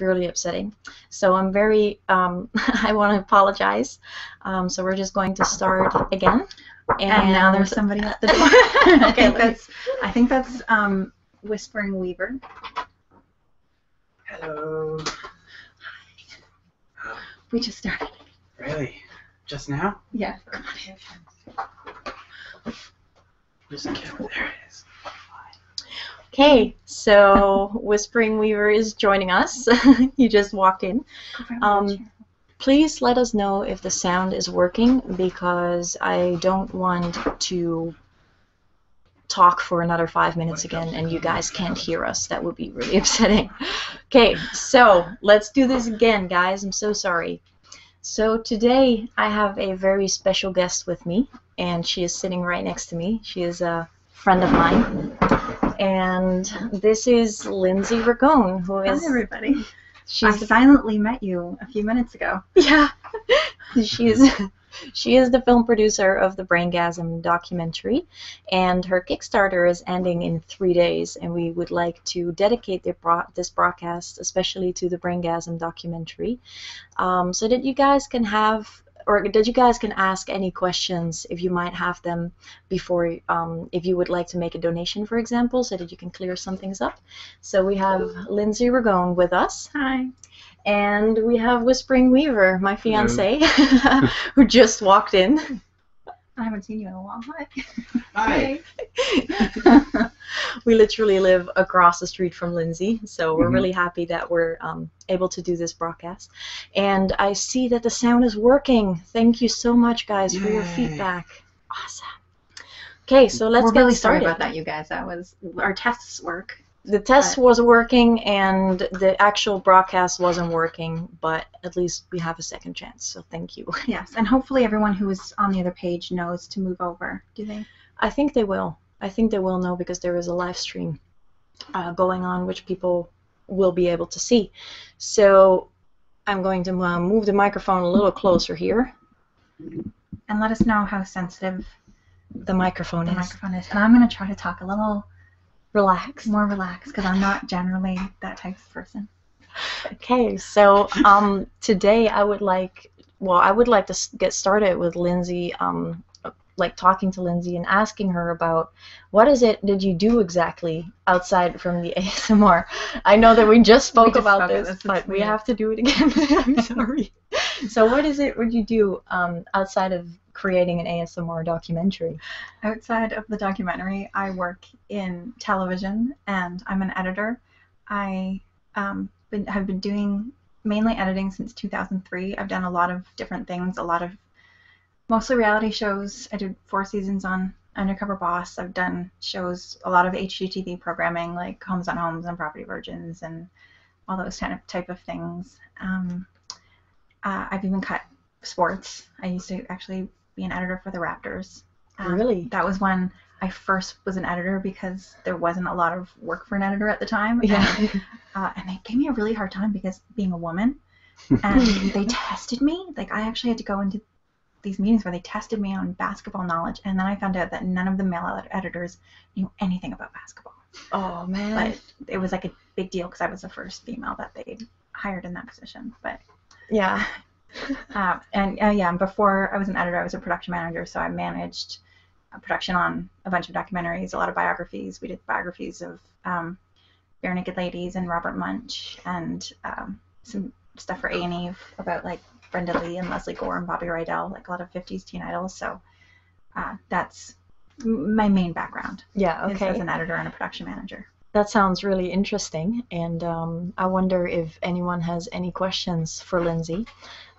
really upsetting. So I'm very, um, I want to apologize. Um, so we're just going to start again. And, now there's somebody at the door. I okay, think that's, I think that's um, Whispering Weaver. Hello. We just started. Really? Just now? Yeah. Come on in. There's a There it is. Okay, so Whispering Weaver is joining us. you just walked in. Um, please let us know if the sound is working because I don't want to talk for another five minutes again and you guys can't hear us. That would be really upsetting. Okay, so let's do this again, guys. I'm so sorry. So today I have a very special guest with me and she is sitting right next to me. She is a friend of mine. And this is Lindsay Ragone, who is. Hi, everybody. I silently met you a few minutes ago. Yeah. she is. She is the film producer of the Braingasm documentary, and her Kickstarter is ending in three days. And we would like to dedicate this broadcast, especially to the Braingasm documentary, um, so that you guys can have or that you guys can ask any questions if you might have them before um, if you would like to make a donation for example so that you can clear some things up so we have Lindsay Ragone with us hi and we have Whispering Weaver my fiance who just walked in I haven't seen you in a while hi hi we literally live across the street from Lindsay so we're mm-hmm. really happy that we're um, able to do this broadcast. And I see that the sound is working. Thank you so much, guys, for your feedback. Awesome. Okay, so let's really sorry about that, you guys. That was our tests work. The test was working, and the actual broadcast wasn't working. But at least we have a second chance. So thank you. Yes, and hopefully everyone who was on the other page knows to move over. Do they? I think they will. I think they will know because there is a live stream uh, going on which people will be able to see. So I'm going to uh, move the microphone a little closer here. And let us know how sensitive the microphone the is. microphone is. And I'm going to try to talk a little relaxed, more relaxed, because I'm not generally that type of person. Okay, so um, today I would like, well, I would like to get started with Lindsay um, like talking to Lindsay and asking her about what is it did you do exactly outside from the ASMR. I know that we just spoke about this, but we have to do it again. I'm sorry. so what is it What do you do um, outside of creating an ASMR documentary? Outside of the documentary, I work in television and I'm an editor. I um, have been doing mainly editing since 2003. I've done a lot of different things, a lot of mostly reality shows. I did four seasons on Undercover Boss. I've done shows, a lot of HGTV programming like Homes on Homes and Property Virgins and all those kind of type of things. Um, uh, I've even cut sports. I used to actually be an editor for the Raptors. Um, really? That was when I first was an editor because there wasn't a lot of work for an editor at the time. Yeah. Uh, and, they gave me a really hard time because being a woman, and they tested me. Like I actually had to go into these meetings where they tested me on basketball knowledge, and then I found out that none of the male editors knew anything about basketball. Oh man! it was like a big deal because I was the first female that they hired in that position. But yeah. Uh, and uh, yeah, before I was an editor, I was a production manager, so I managed production on a bunch of documentaries, a lot of biographies. We did biographies of um, Bare Naked Ladies and Robert Munch, and um, some stuff for A and E about like Brenda Lee and Leslie Gore and Bobby Rydell, like a lot of '50s teen idols. So uh, that's my main background. Yeah. Okay. As an editor and a production manager. That sounds really interesting, and um, I wonder if anyone has any questions for Lindsay.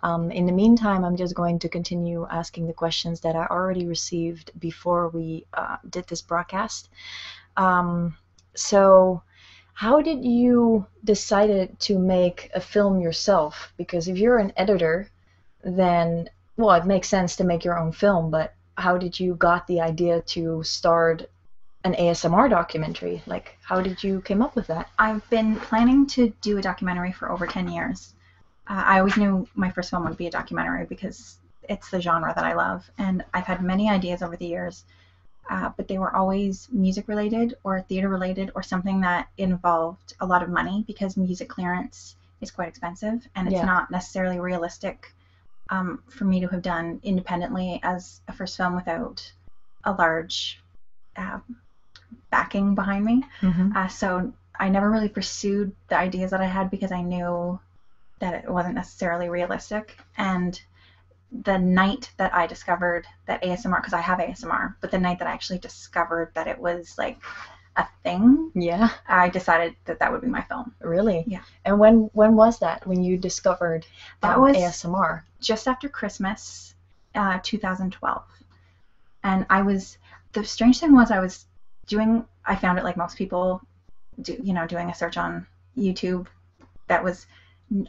Um, in the meantime, I'm just going to continue asking the questions that I already received before we uh, did this broadcast. Um, so, how did you decided to make a film yourself? Because if you're an editor, then well, it makes sense to make your own film. But how did you got the idea to start an ASMR documentary? Like, how did you came up with that? I've been planning to do a documentary for over 10 years. Uh, I always knew my first film would be a documentary because it's the genre that I love, and I've had many ideas over the years, uh, but they were always music related or theater related or something that involved a lot of money because music clearance is quite expensive and it's not necessarily realistic um, for me to have done independently as a first film without a large um, backing behind me. Mm-hmm. Uh, so I never really pursued the ideas that I had because I knew that it wasn't necessarily realistic. And the night that I discovered that ASMR, because I have ASMR, but the night that I actually discovered that it was like a thing, yeah, I decided that that would be my film. Really? Yeah. And when when was that? When you discovered that um, was ASMR? Just after Christmas, uh, 2012 and I was the strange thing was I was doing I found it like most people do you know doing a search on YouTube that was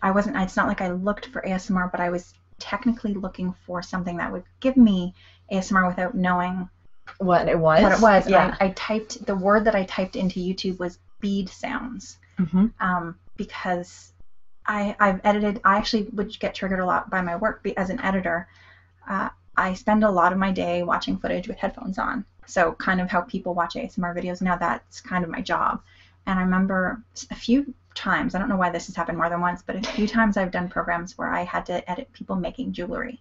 I wasn't it's not like I looked for ASMR but I was technically looking for something that would give me ASMR without knowing what it was what it was yeah I, I typed the word that I typed into YouTube was bead sounds mm-hmm. um, because I I've edited I actually would get triggered a lot by my work as an editor uh, I spend a lot of my day watching footage with headphones on. So, kind of how people watch ASMR videos now, that's kind of my job. And I remember a few times, I don't know why this has happened more than once, but a few times I've done programs where I had to edit people making jewelry.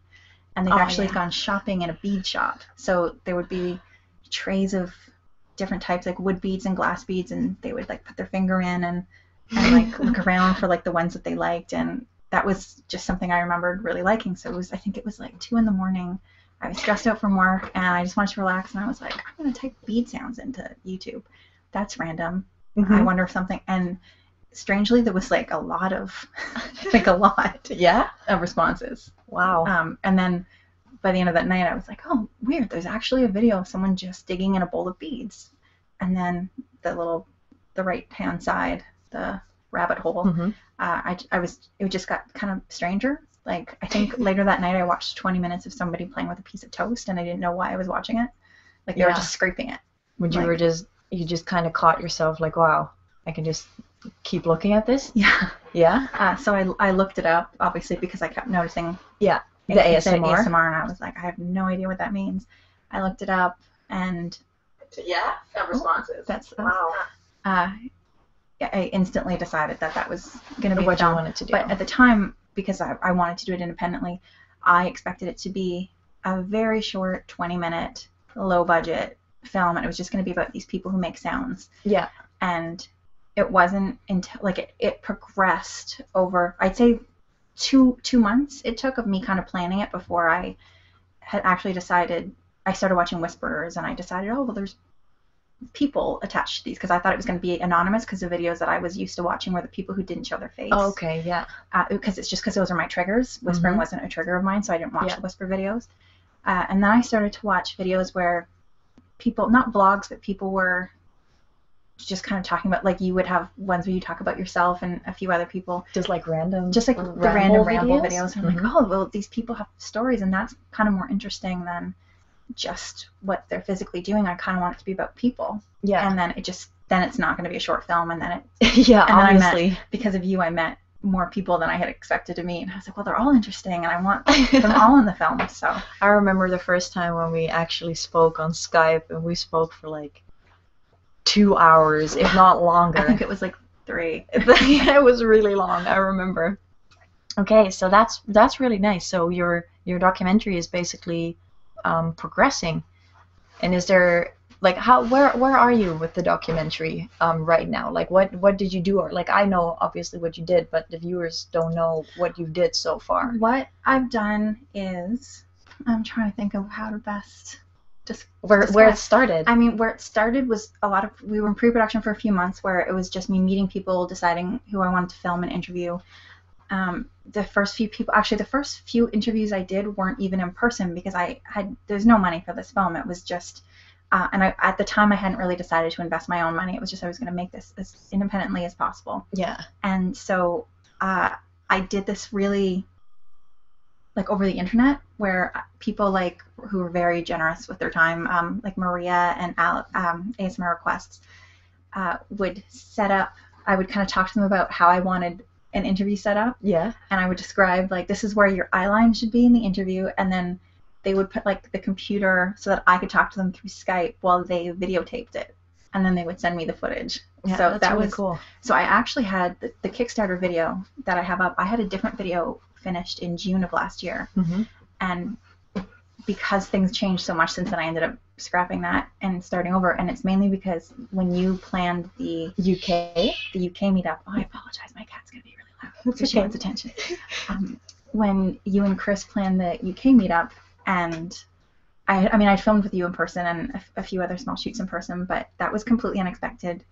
And they've oh, actually gone shopping in a bead shop. So, there would be trays of different types, like wood beads and glass beads, and they would like put their finger in and like look around for like the ones that they liked and that was just something I remembered really liking. So it was, I think it was like two in the morning. I was stressed out from work and I just wanted to relax. And I was like, I'm going to type bead sounds into YouTube. That's random. I mm-hmm. wonder if something. And strangely, there was like a lot of, like a lot. yeah. Of responses. Wow. Um, and then by the end of that night, I was like, oh, weird. There's actually a video of someone just digging in a bowl of beads and then the little the right hand side the rabbit hole mm-hmm. uh, I, I was it just got kind of stranger like i think later that night i watched 20 minutes of somebody playing with a piece of toast and i didn't know why i was watching it like they were just scraping it Would you were just you just kind of caught yourself like wow i can just keep looking at this yeah yeah uh, so I, I looked it up obviously because i kept noticing yeah the ASMR. asmr and i was like i have no idea what that means i looked it up and yeah, oh, responses. wow. Uh, I instantly decided that that was going to be what I wanted to do. But at the time, because I, wanted to do it independently, I expected it to be a very short, 20-minute, low-budget film, and it was just going to be about these people who make sounds. Yeah. And it wasn't until like it progressed over. I'd say two two months it took of me kind of planning it before I had actually decided. I started watching Whisperers, and I decided, oh well, there's people attached to these because I thought it was going to be anonymous because the videos that I was used to watching were the people who didn't show their face. Oh, okay, yeah. Because uh, it's just because those are my triggers. Mm-hmm. Whispering wasn't a trigger of mine, so I didn't watch the whisper videos. Uh, and then I started to watch videos where people, not vlogs, but people were just kind of talking about, like you would have ones where you talk about yourself and a few other people just like random. Just like the random random videos. I'm mm-hmm. like, oh, well, these people have stories, and that's kind of more interesting than just what they're physically doing. I kind of want it to be about people. Yeah. And then it just then it's not going to be a short film, and then it. yeah, obviously. because of you, I met more people than I had expected to meet. And I was like, well, they're all interesting, and I want them all in the film. So I remember the first time when we actually spoke on Skype, and we spoke for like two hours, if not longer. I think it was like three. it was really long. I remember. Okay, so that's that's really nice. So your your documentary is basically um, progressing, and is there like how where where are you with the documentary um, right now? Like what what did you do? Or like I know obviously what you did, but the viewers don't know what you did so far. What I've done is I'm trying to think of how to best just where where it started. I mean, where it started was a lot of we were in pre-production for a few months, where it was just me meeting people, deciding who I wanted to film and interview. Um, the first few people, actually, the first few interviews I did weren't even in person because I had there's no money for this film. It was just, uh, and I at the time I hadn't really decided to invest my own money. It was just I was going to make this as independently as possible. Yeah. And so uh, I did this really like over the internet where people like who were very generous with their time, um, like Maria and Al- um, ASMR requests, uh, would set up. I would kind of talk to them about how I wanted an interview set up. Yeah. And I would describe like this is where your eye line should be in the interview, and then they would put like the computer so that I could talk to them through Skype while they videotaped it, and then they would send me the footage so that was cool. So I actually had the, Kickstarter video that I have up. I had a different video finished in June of last year, mm-hmm. and because things changed so much since then, I ended up scrapping that and starting over. And it's mainly because when you planned the UK, the UK meetup. Oh, I apologize. My cat's gonna be really loud. That's so she attention. Um, when you and Chris planned the UK meetup, and I, I mean, I filmed with you in person and a few other small shoots in person, but that was completely unexpected.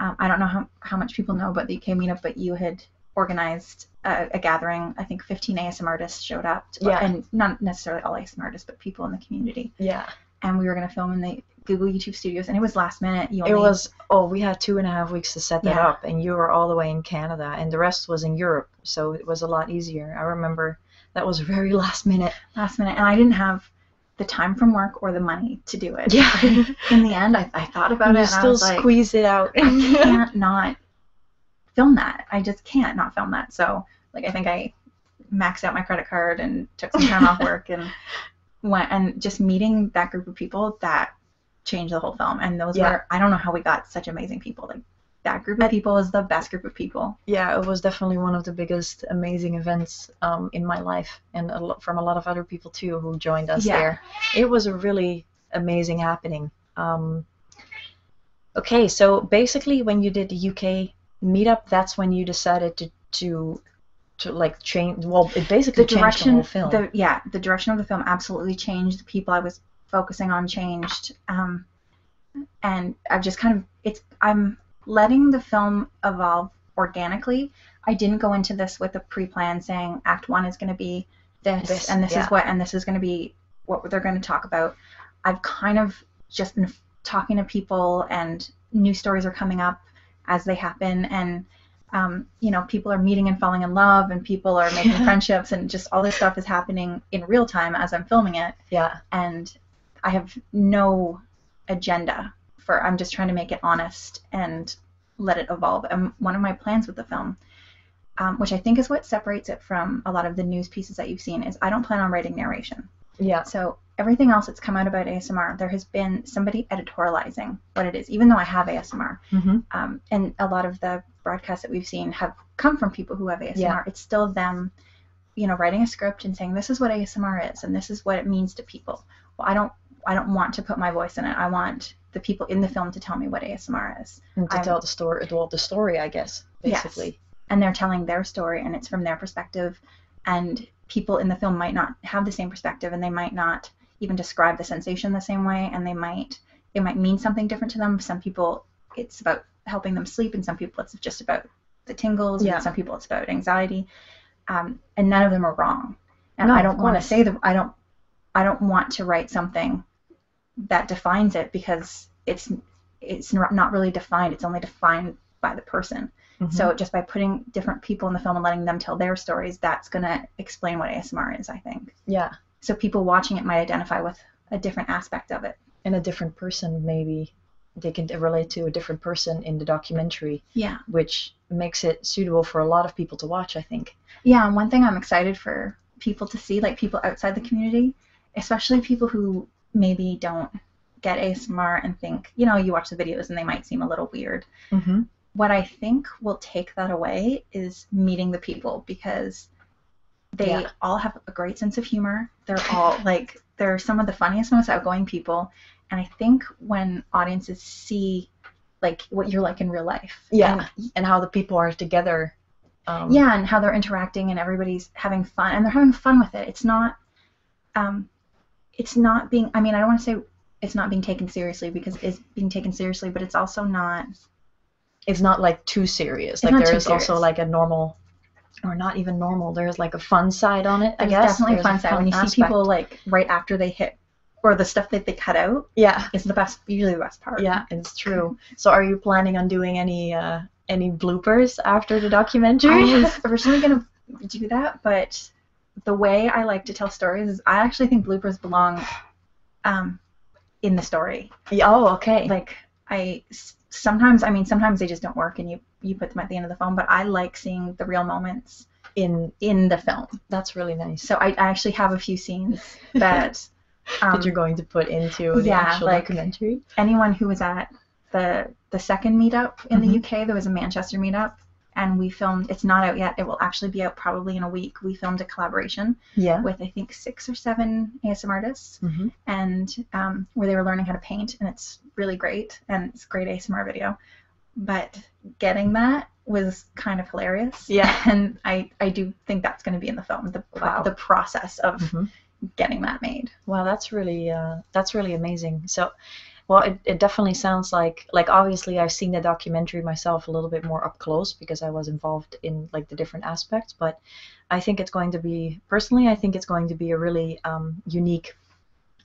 Um, I don't know how, how much people know about the UK meetup, but you had organized a, gathering. I think 15 ASM artists showed up, and not necessarily all ASM artists, but people in the community. Yeah. And we were going to film in the Google YouTube Studios, and it was last minute. You It was oh, we had two and a half weeks to set that up, and you were all the way in Canada, and the rest was in Europe, so it was a lot easier. I remember that was very last minute. Last minute, and I didn't have the time from work or the money to do it. Yeah. in the end, I, I thought about it. You still squeeze it out. I can't not film that. I just can't not film that. So like I think I maxed out my credit card and took some time off work and went and just meeting that group of people that changed the whole film. And those were I don't know how we got such amazing people. Like that group of people is the best group of people. Yeah, it was definitely one of the biggest amazing events um, in my life and from a lot of other people too who joined us there. It was a really amazing happening. Um, okay, so basically, when you did the UK meetup, that's when you decided to to to like change. Well, it basically the direction, yeah, the direction of the film absolutely changed. The people I was focusing on changed. Um, and I've just kind of I'm it's I'm letting the film evolve organically. I didn't go into this with a pre-plan saying Act One is going to be this, and this is what and this is going to be what they're going to talk about. I've kind of just been talking to people and new stories are coming up as they happen and um, you know people are meeting and falling in love and people are making friendships and just all this stuff is happening in real time as i'm filming it yeah and i have no agenda for I'm just trying to make it honest and let it evolve. And one of my plans with the film, um, which I think is what separates it from a lot of the news pieces that you've seen, is I don't plan on writing narration. Yeah. So everything else that's come out about ASMR, there has been somebody editorializing what it is, even though I have ASMR. Mm-hmm. Um, and a lot of the broadcasts that we've seen have come from people who have ASMR. It's still them, you know, writing a script and saying, this is what ASMR is and this is what it means to people well, I don't I don't want to put my voice in it. I want the people in the film to tell me what ASMR is. to tell the story, to well, the story, I guess, basically. And they're telling their story, and it's from their perspective. And people in the film might not have the same perspective, and they might not even describe the sensation the same way, and they might it might mean something different to them. Some people, it's about helping them sleep, and some people, it's just about the tingles. Yeah. And some people, it's about anxiety. Um, and none of them are wrong. And I don't want to say that I don't I don't want to write something that defines it because it's it's not really defined. It's only defined by the person. Mm-hmm. So just by putting different people in the film and letting them tell their stories, that's gonna explain what ASMR is, I think. Yeah. So people watching it might identify with a different aspect of it. And a different person maybe they can relate to a different person in the documentary. Yeah. Which makes it suitable for a lot of people to watch, I think. Yeah, and one thing I'm excited for people to see, like people outside the community, especially people who maybe don't get ASMR and think, you know, you watch the videos and they might seem a little weird. Mm-hmm. What I think will take that away is meeting the people because they all have a great sense of humor. They're all like, they're some of the funniest, most outgoing people. And I think when audiences see like what you're like in real life, yeah, and, how the people are together, um, yeah, and how they're interacting and everybody's having fun and they're having fun with it. It's not, um, it's not being. I mean, I don't want to say it's not being taken seriously because it's being taken seriously, but it's also not. It's not like too serious. Like there is also like a normal or not even normal. There's like a fun side on it. I guess definitely There's fun a fun side when you see people like right after they hit or the stuff that they cut out yeah is the best usually the best part yeah it's true so are you planning on doing any uh any bloopers after the documentary i was originally gonna do that but the way i like to tell stories is i actually think bloopers belong um in the story oh okay like i sometimes i mean sometimes they just don't work and you you put them at the end of the film, but I like seeing the real moments in in the film. That's really nice. So I, I actually have a few scenes that um, that you're going to put into the yeah, actual documentary. Anyone who was at the the second meetup in the mm-hmm. UK, there was a Manchester meetup, and we filmed. It's not out yet. It will actually be out probably in a week. We filmed a collaboration yeah. with I think six or seven ASMR artists, mm-hmm. and um, where they were learning how to paint, and it's really great, and it's a great ASMR video. But getting that was kind of hilarious. Yeah. And I, I do think that's going to be in the film the, wow. the process of mm-hmm. getting that made. Wow, that's really uh, that's really amazing. So, well, it, it definitely sounds like like obviously I've seen the documentary myself a little bit more up close because I was involved in like the different aspects. But I think it's going to be personally, I think it's going to be a really um, unique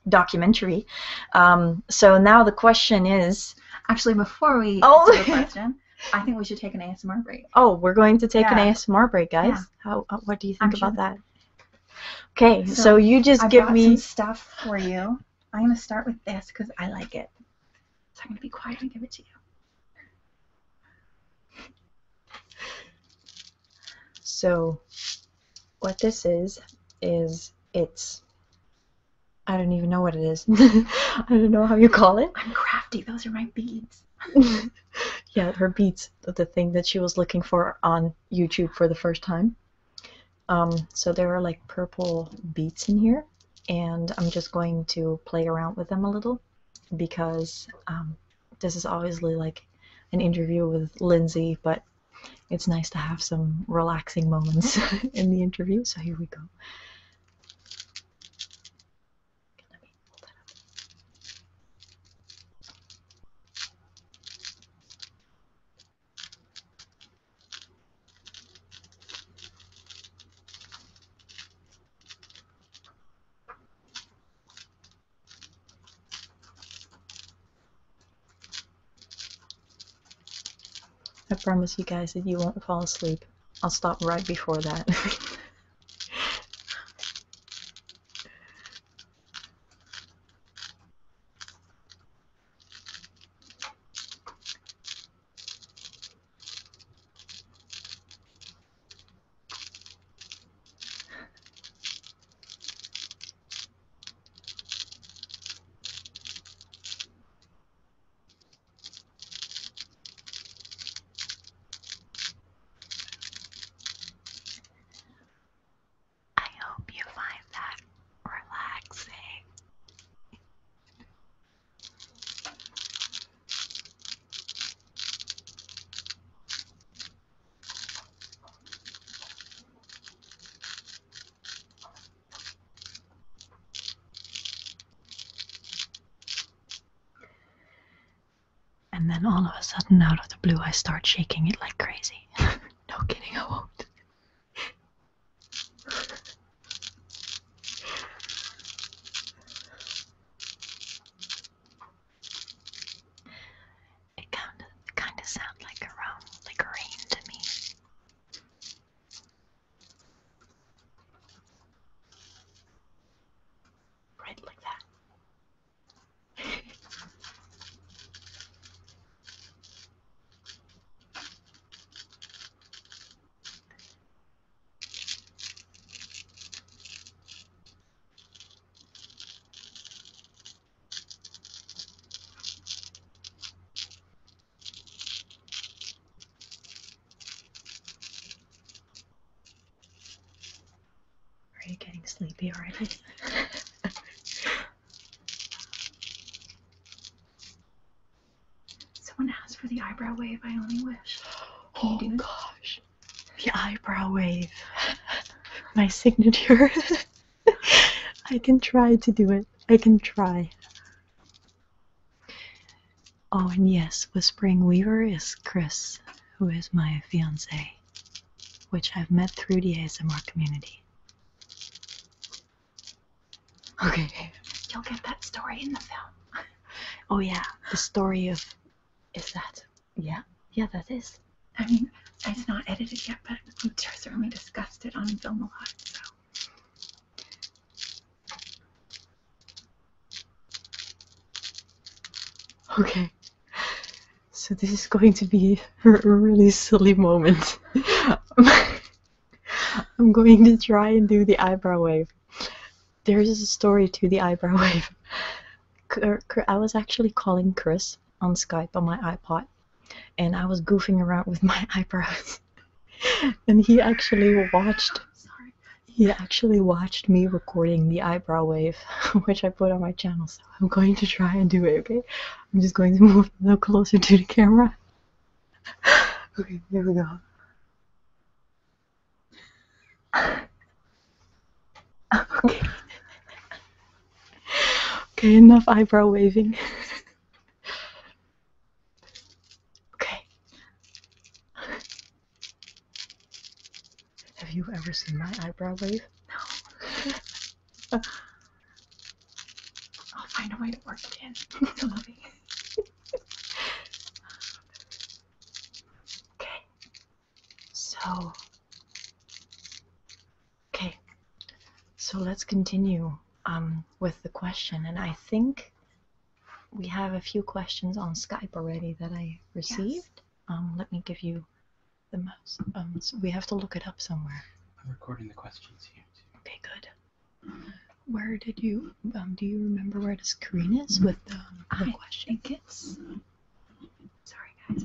documentary. Um, so now the question is. Actually, before we oh. the question, I think we should take an ASMR break. Oh, we're going to take an ASMR break, guys. How, uh, what do you think about that? Okay, so, you just give me stuff for you. I'm gonna start with this because I like it. So I'm gonna be quiet and give it to you. So what this is, is it's. I don't even know what it is. I don't know how you call it. I'm crafty. Those are my beads. yeah, her beads. The thing that she was looking for on YouTube for the first time. Um, so there are like purple beads in here. And I'm just going to play around with them a little. Because um, this is obviously like an interview with Lindsay, but it's nice to have some relaxing moments in the interview. So here we go. I promise you guys that you won't fall asleep. I'll stop right before that. I hope you find that relaxing. And then all of a sudden, out of the blue, I start shaking it like crazy. no kidding, I won't. It kind of, kind of sounds like a rain to me. Right like that. Are you getting sleepy already? Someone asked for the eyebrow wave. I only wish. oh gosh, the eyebrow wave. My signature. I can try to do it. I can try. Oh, and yes, Whispering Weaver is Chris, who is my fiance, which I've met through the ASMR community. Okay. You'll get that story in the film. oh, yeah. The story of. Is that. Yeah? Yeah, that is. I mean, it's not edited yet, but we certainly discussed it on film a lot, so. Okay, so this is going to be a really silly moment. I'm going to try and do the eyebrow wave. There is a story to the eyebrow wave. I was actually calling Chris on Skype on my iPod and I was goofing around with my eyebrows. and he actually watched he actually watched me recording the eyebrow wave, which I put on my channel, so I'm going to try and do it, okay? I'm just going to move a little closer to the camera. okay, here we go. okay. okay, enough eyebrow waving. Okay. Have you ever seen my eyebrow wave? No. I'll find a way to work it in. okay. So Okay, so let's continue um, with the question. And I think we have a few questions on Skype already that I received. Um, let me give you the mouse. Um, we have to look it up somewhere. I'm recording the questions here Okay, good. Where did you? do you remember where the screen is with the, question? I Sorry, guys.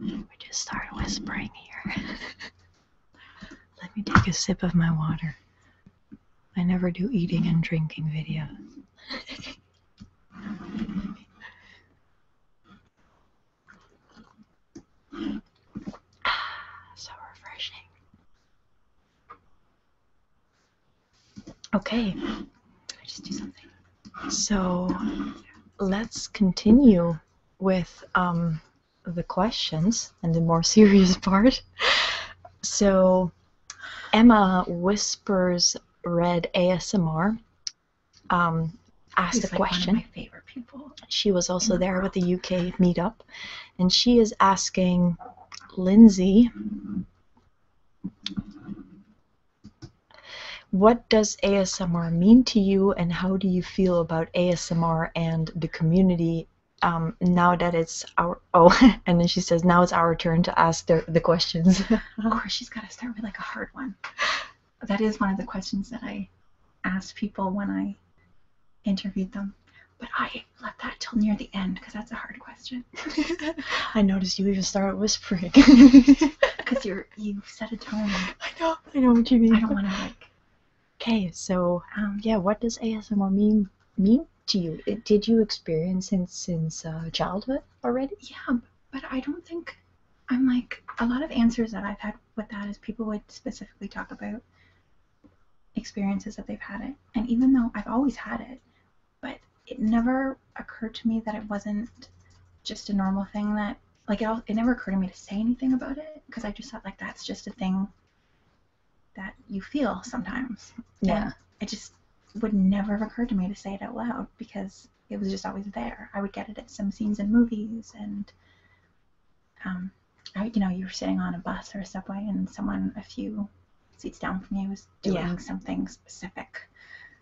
We just started whispering here. Let me take a sip of my water. I never do eating and drinking videos. Ah, so refreshing. Okay, I just do something. So let's continue with um, the questions and the more serious part. so Emma whispers read ASMR. Um, asked He's a like question. my favorite people. She was also there with the UK meetup, and she is asking Lindsay, what does ASMR mean to you, and how do you feel about ASMR and the community um, now that it's our oh, and then she says now it's our turn to ask the the questions. of course, she's got to start with like a hard one. That is one of the questions that I asked people when I interviewed them, but I left that till near the end because that's a hard question. I noticed you even started whispering because you're you set a tone. I know, I know what you mean. I don't want to like Okay, so um, yeah, what does ASMR mean mean to you? did you experience it since uh, childhood already? Yeah, but I don't think I'm like a lot of answers that I've had with that is people would specifically talk about experiences that they've had it, and even though I've always had it, but it never occurred to me that it wasn't just a normal thing that like it, it never occurred to me to say anything about it because I just thought like that's just a thing that you feel sometimes. Yeah. it just would never have occurred to me to say it out loud because it was just always there. I would get it at some scenes in movies, and um, I, you know, you were sitting on a bus or a subway, and someone a few seats down from you was doing something specific,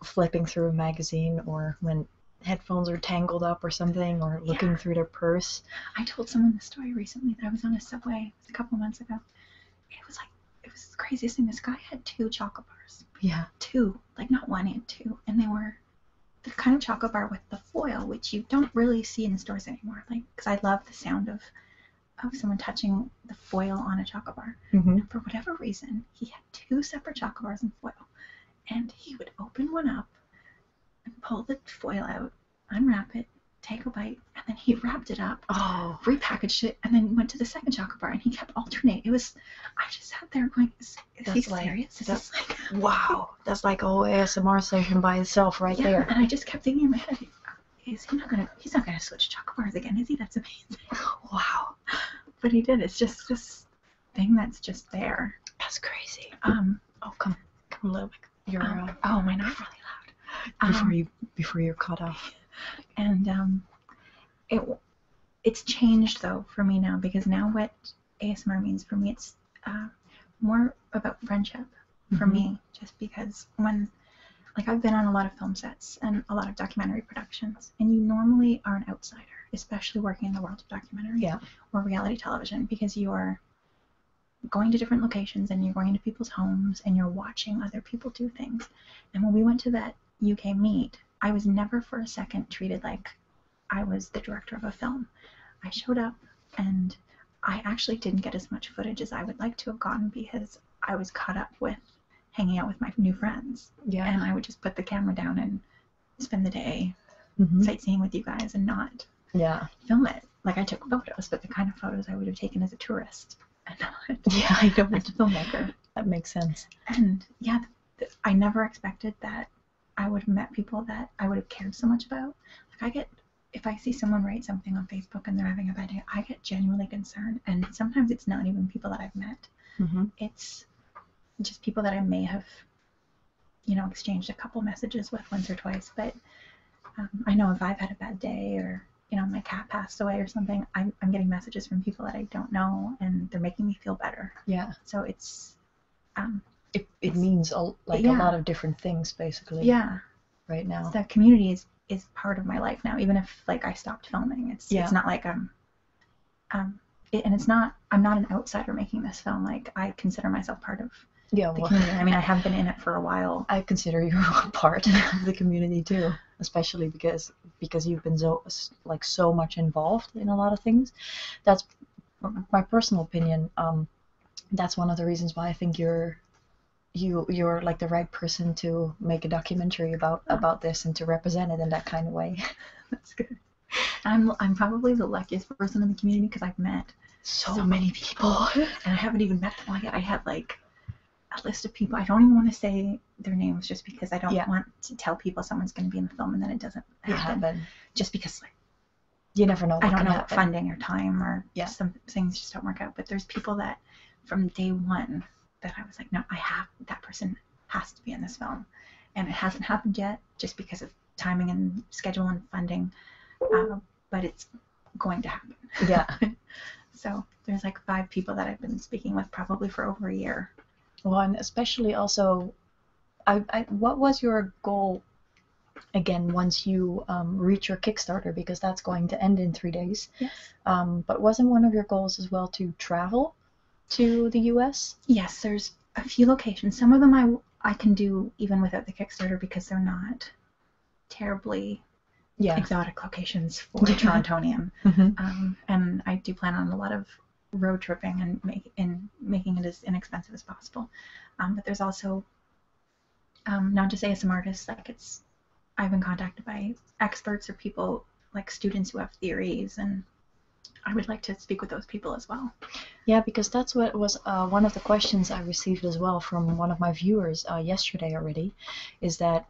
flipping through a magazine, or when headphones are tangled up or something, or looking through their purse. I told someone the story recently that I was on a subway a couple months ago. It was like it was the craziest thing. This guy had two chocolate bars. Yeah, two, like not one and two, and they were the kind of chocolate bar with the foil, which you don't really see in stores anymore. Like, because I love the sound of of someone touching the foil on a chocolate bar. Mm-hmm. for whatever reason, he had two separate chocolate bars and foil, and he would open one up and pull the foil out, unwrap it, take a bite, and then he wrapped it up, oh, repackaged it, and then went to the second chocolate bar, and he kept alternating. It was, I just sat there going, is, he serious? that's, like, wow, that's like a ASMR session by itself right yeah, there. and I just kept thinking in my head, is he not gonna, he's not gonna switch chocolate bars again, is he? That's amazing. wow. But he did. It's just this thing that's just there. That's crazy. Um, oh, come, come a little bit your um, uh, oh, my, not really loud? Before um, you before you're cut off. And um, it it's changed though for me now because now what ASMR means for me it's uh, more about friendship for mm-hmm. me just because when like I've been on a lot of film sets and a lot of documentary productions and you normally are an outsider especially working in the world of documentary or reality television because you are going to different locations and you're going to people's homes and you're watching other people do things. And when we went to that UK meet, I was never for a second treated like I was the director of a film. I showed up and I actually didn't get as much footage as I would like to have gotten because I was caught up with hanging out with my new friends. Yeah. And I would just put the camera down and spend the day mm-hmm. sightseeing with you guys and not yeah, film it. Like I took photos, but the kind of photos I would have taken as a tourist, and not yeah, I don't as a filmmaker. That makes sense. And yeah, I never expected that I would have met people that I would have cared so much about. Like I get, if I see someone write something on Facebook and they're having a bad day, I get genuinely concerned. And sometimes it's not even people that I've met. Mm-hmm. It's just people that I may have you know, exchanged a couple messages with once or twice. But um, I know if I've had a bad day or you know my cat passed away or something, I'm I'm getting messages from people that I don't know, and they're making me feel better. Yeah. So it's um, It, it means a, like a lot of different things basically. Yeah. Right now. The community is is part of my life now. Even if like I stopped filming, it's yeah. it's not like um um and it's not I'm not an outsider making this film. Like I consider myself part of yeah, I mean, I have been in it for a while. I consider you a part of the community too, especially because because you've been so like so much involved in a lot of things. That's my personal opinion. Um, that's one of the reasons why I think you're you you're like the right person to make a documentary about about this and to represent it in that kind of way. that's good. I'm I'm probably the luckiest person in the community because I've met so, many people, and I haven't even met them all yet. I had like a list of people. I don't even want to say their names just because I don't yeah. want to tell people someone's going to be in the film and then it doesn't happen. Yeah, just because like you never know. I don't know happen. funding or time or yeah. some things just don't work out. But there's people that from day one that I was like, no, I have that person has to be in this film, and it hasn't happened yet just because of timing and schedule and funding. Um, but it's going to happen. Yeah. so there's like five people that I've been speaking with probably for over a year. Well, and especially also, I, what was your goal again once you um, reach your Kickstarter because that's going to end in three days. Yes. Um, but wasn't one of your goals as well to travel to the U.S.? Yes, there's a few locations. Some of them I I can do even without the Kickstarter because they're not terribly exotic locations for Torontonium. Mm-hmm. Um, and I do plan on a lot of road tripping and, make, making it as inexpensive as possible. Um, but there's also, um, not just ASM artists, like it's, I've been contacted by experts or people, like students who have theories and I would like to speak with those people as well. Yeah, because that's what was uh, one of the questions I received as well from one of my viewers uh, yesterday already, is that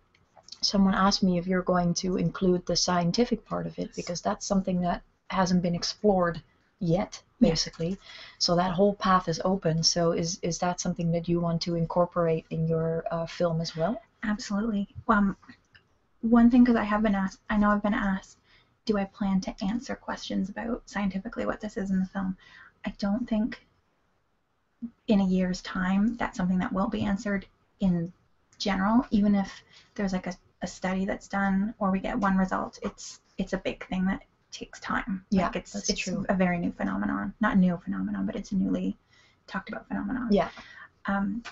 someone asked me if you're going to include the scientific part of it because that's something that hasn't been explored yet basically so that whole path is open so is is that something that you want to incorporate in your uh, film as well absolutely um, one thing because i have been asked i know i've been asked do i plan to answer questions about scientifically what this is in the film i don't think in a year's time, that's something that won't be answered in general, even if there's like a, a study that's done or we get one result. It's it's a big thing that takes time. Yeah, it's it's a very new phenomenon, not new phenomenon, but it's a newly talked about phenomenon. Yeah. Um,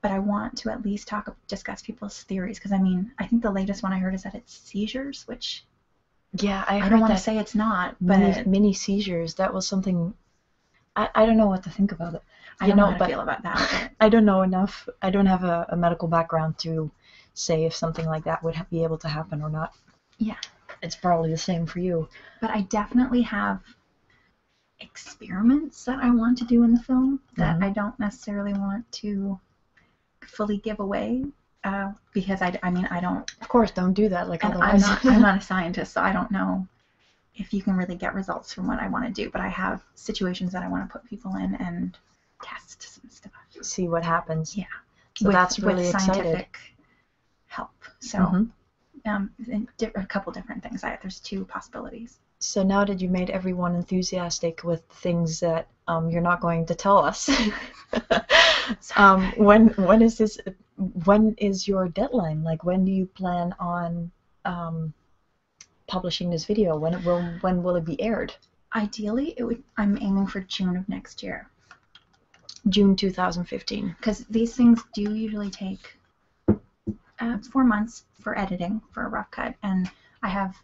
but I want to at least talk discuss people's theories because I mean I think the latest one I heard is that it's seizures, which yeah, I, don't want to say it's not, but mini, seizures. That was something. I, I don't know what to think about it. I don't know, how to feel about that. I don't know enough. I don't have a, medical background to say if something like that would be able to happen or not. Yeah. It's probably the same for you. But I definitely have experiments that I want to do in the film that mm-hmm. I don't necessarily want to fully give away uh, because I, I mean I don't. Of course, don't do that. Like otherwise, I'm not, I'm not a scientist, so I don't know if you can really get results from what I want to do. But I have situations that I want to put people in and test some stuff. See what happens. Yeah. that's really scientific help. So. Mm-hmm. Um, a couple different things. I, there's two possibilities. So now that you made everyone enthusiastic with things that um, you're not going to tell us um, when when is this when is your deadline like when do you plan on um, publishing this video when will when will it be aired ideally it would i'm aiming for june of next year june 2015 because these things do usually take uh, four months for editing for a rough cut and i have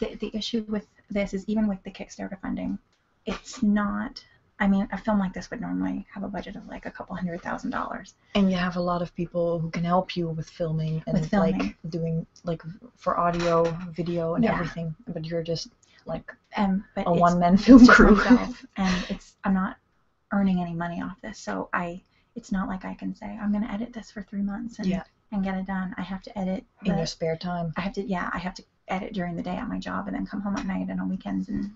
the, the issue with this is even with the kickstarter funding it's not. I mean, a film like this would normally have a budget of like a couple hundred thousand dollars. And you have a lot of people who can help you with filming and like doing like for audio, video, and everything. But you're just like um, a one-man film crew. and it's I'm not earning any money off this, so I it's not like I can say I'm going to edit this for three months and yeah. and get it done. I have to edit in your spare time. I have to yeah I have to edit during the day at my job and then come home at night and on weekends and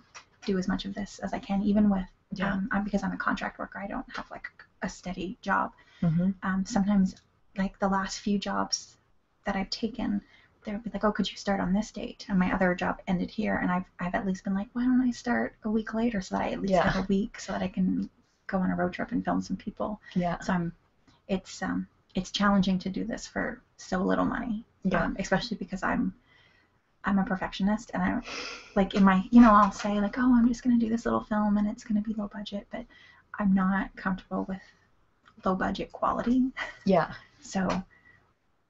do as much of this as I can, even with um, I'm, because I'm a contract worker. I don't have like a steady job. Mm-hmm. Um, sometimes, like the last few jobs that I've taken, they would be like, "Oh, could you start on this date?" And my other job ended here, and I've I've at least been like, "Why don't I start a week later so that I at least have a week so that I can go on a road trip and film some people?" Yeah. So I'm it's um, it's challenging to do this for so little money. Yeah. Um, especially because I'm I'm a perfectionist and I like in my you know I'll say like oh I'm just gonna do this little film and it's gonna be low budget but I'm not comfortable with low budget quality. Yeah. so.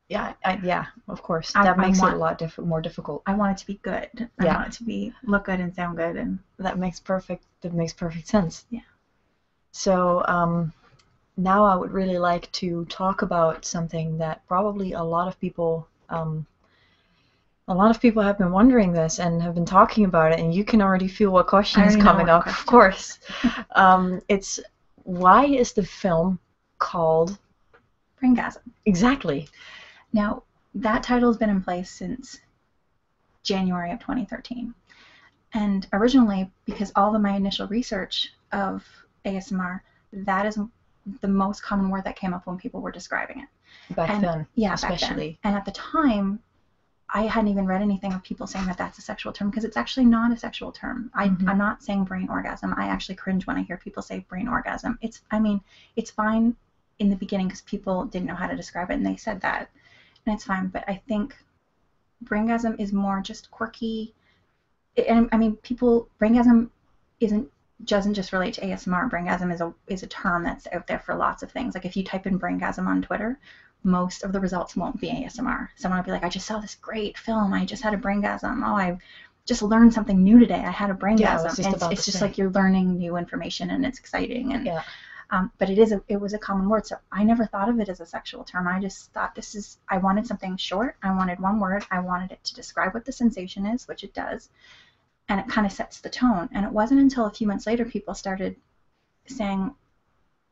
Yeah, yeah, of course. That makes it a lot diff more difficult. I want it to be good. Yeah. I want it to be look good and sound good, and that makes perfect. That makes perfect sense. Yeah. So um, now I would really like to talk about something that probably a lot of people um, a lot of people have been wondering this and have been talking about it, and you can already feel what question is coming up, of course. Um, it's why is the film called Pringasm? Exactly. Now, that title has been in place since January of 2013. And originally, because all of my initial research of ASMR, that is the most common word that came up when people were describing it. Back and, then, yeah, especially. And at the time, I hadn't even read anything of people saying that that's a sexual term because it's actually not a sexual term. I, am mm-hmm. not saying brain orgasm. I actually cringe when I hear people say brain orgasm. It's, I mean, it's fine in the beginning because people didn't know how to describe it and they said that, and it's fine. But I think Brangasm is more just quirky. And I mean, people Brangasm isn't doesn't just relate to ASMR. Brangasm is a is a term that's out there for lots of things. Like if you type in Brangasm on Twitter, most of the results won't be ASMR. Someone will be like, I just saw this great film. I just had a Brangasm. Oh, I just learned something new today. I had a Brangasm. it's, just like you're learning new information and it's exciting. And yeah. Um, but it is it was a common word, so I never thought of it as a sexual term. I just thought this is, I wanted something short. I wanted one word. I wanted it to describe what the sensation is, which it does. And it kind of sets the tone. And it wasn't until a few months later people started saying,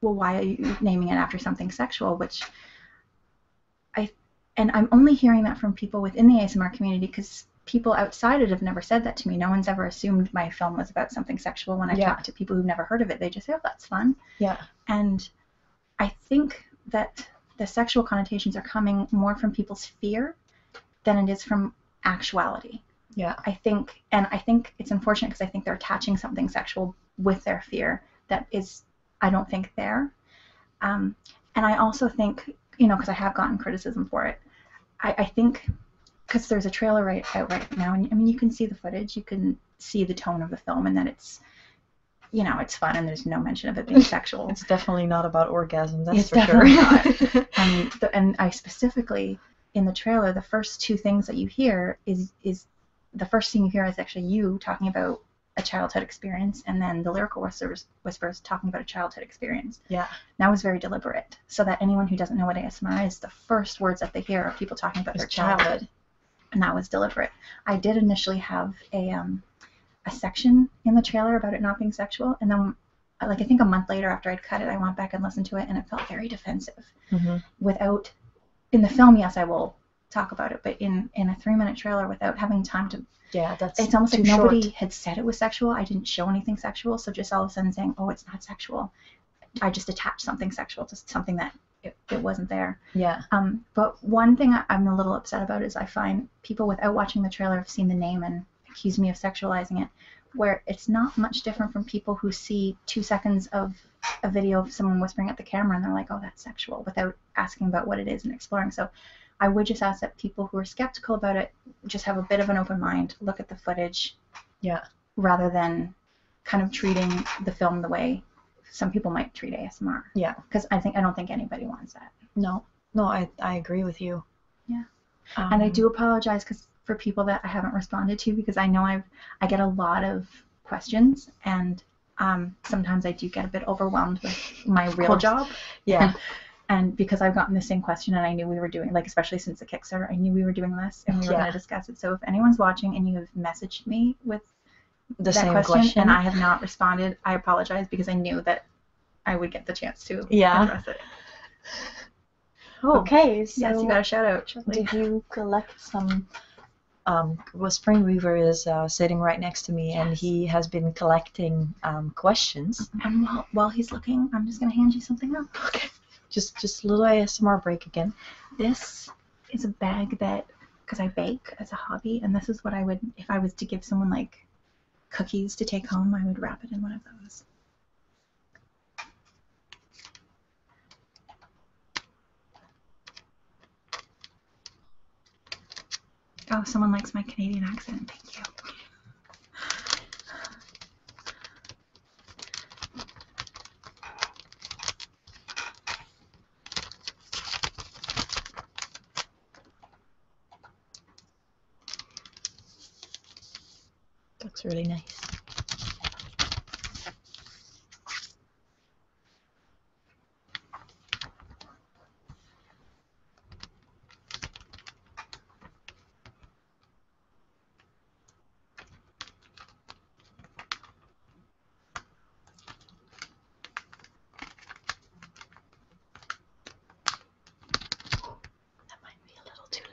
well, why are you naming it after something sexual? Which I, and I'm only hearing that from people within the ASMR community because people outside it have never said that to me. No one's ever assumed my film was about something sexual when I talk to people who've never heard of it. They just say, "Oh, that's fun." Yeah. And I think that the sexual connotations are coming more from people's fear than it is from actuality. Yeah. I think, and I think it's unfortunate because I think they're attaching something sexual with their fear that is, I don't think, there. Um, and I also think, you know, because I have gotten criticism for it, I, I think because there's a trailer right out right now, and I mean, you can see the footage, you can see the tone of the film and that it's you know it's fun and there's no mention of it being sexual. it's definitely not about orgasms. That's for sure. and I specifically in the trailer, the first two things that you hear is is the first thing you hear is actually you talking about a childhood experience, and then the lyrical whispers, is talking about a childhood experience. Yeah. And that was very deliberate, so that anyone who doesn't know what ASMR is, the first words that they hear are people talking about their childhood and that was deliberate. I did initially have a um, a section in the trailer about it not being sexual, and then like I think a month later after I'd cut it, I went back and listened to it, and it felt very defensive. Mm-hmm. Without in the film, yes, I will talk about it, but in in a three minute trailer without having time to yeah, that's it's almost like nobody had said it was sexual. I didn't show anything sexual, so just all of a sudden saying, oh, it's not sexual. I just attach something sexual to something that it, it wasn't there. Yeah. Um, but one thing I, am a little upset about is I find people without watching the trailer have seen the name and accuse me of sexualizing it, where it's not much different from people who see two seconds of a video of someone whispering at the camera and they're like, oh, that's sexual, without asking about what it is and exploring. So I would just ask that people who are skeptical about it just have a bit of an open mind, look at the footage. Yeah. Rather than kind of treating the film the way some people might treat ASMR. Yeah. Because I think I don't think anybody wants that. No. No, I I agree with you. Yeah. Um, and I do apologize because for people that I haven't responded to because I know I've I get a lot of questions and um, sometimes I do get a bit overwhelmed with my real job. Yeah. and because I've gotten the same question and I knew we were doing like especially since the Kickstarter, I knew we were doing this and we were going to discuss it. So if anyone's watching and you have messaged me with the same question, and I have not responded. I apologize because I knew that I would get the chance to address it. Oh, okay, so yes, you got a shout out. Did you collect some? Um, well, Spring Weaver is uh, sitting right next to me, and he has been collecting um, questions. And um, while, while he's looking, I'm just gonna hand you something up. Okay. Just just a little ASMR break again. This it's a bag that because I bake as a hobby, and this is what I would if I was to give someone like cookies to take home. I would wrap it in one of those. Oh, someone likes my Canadian accent. Thank you. Looks really nice. Oh, that might be a little too loud.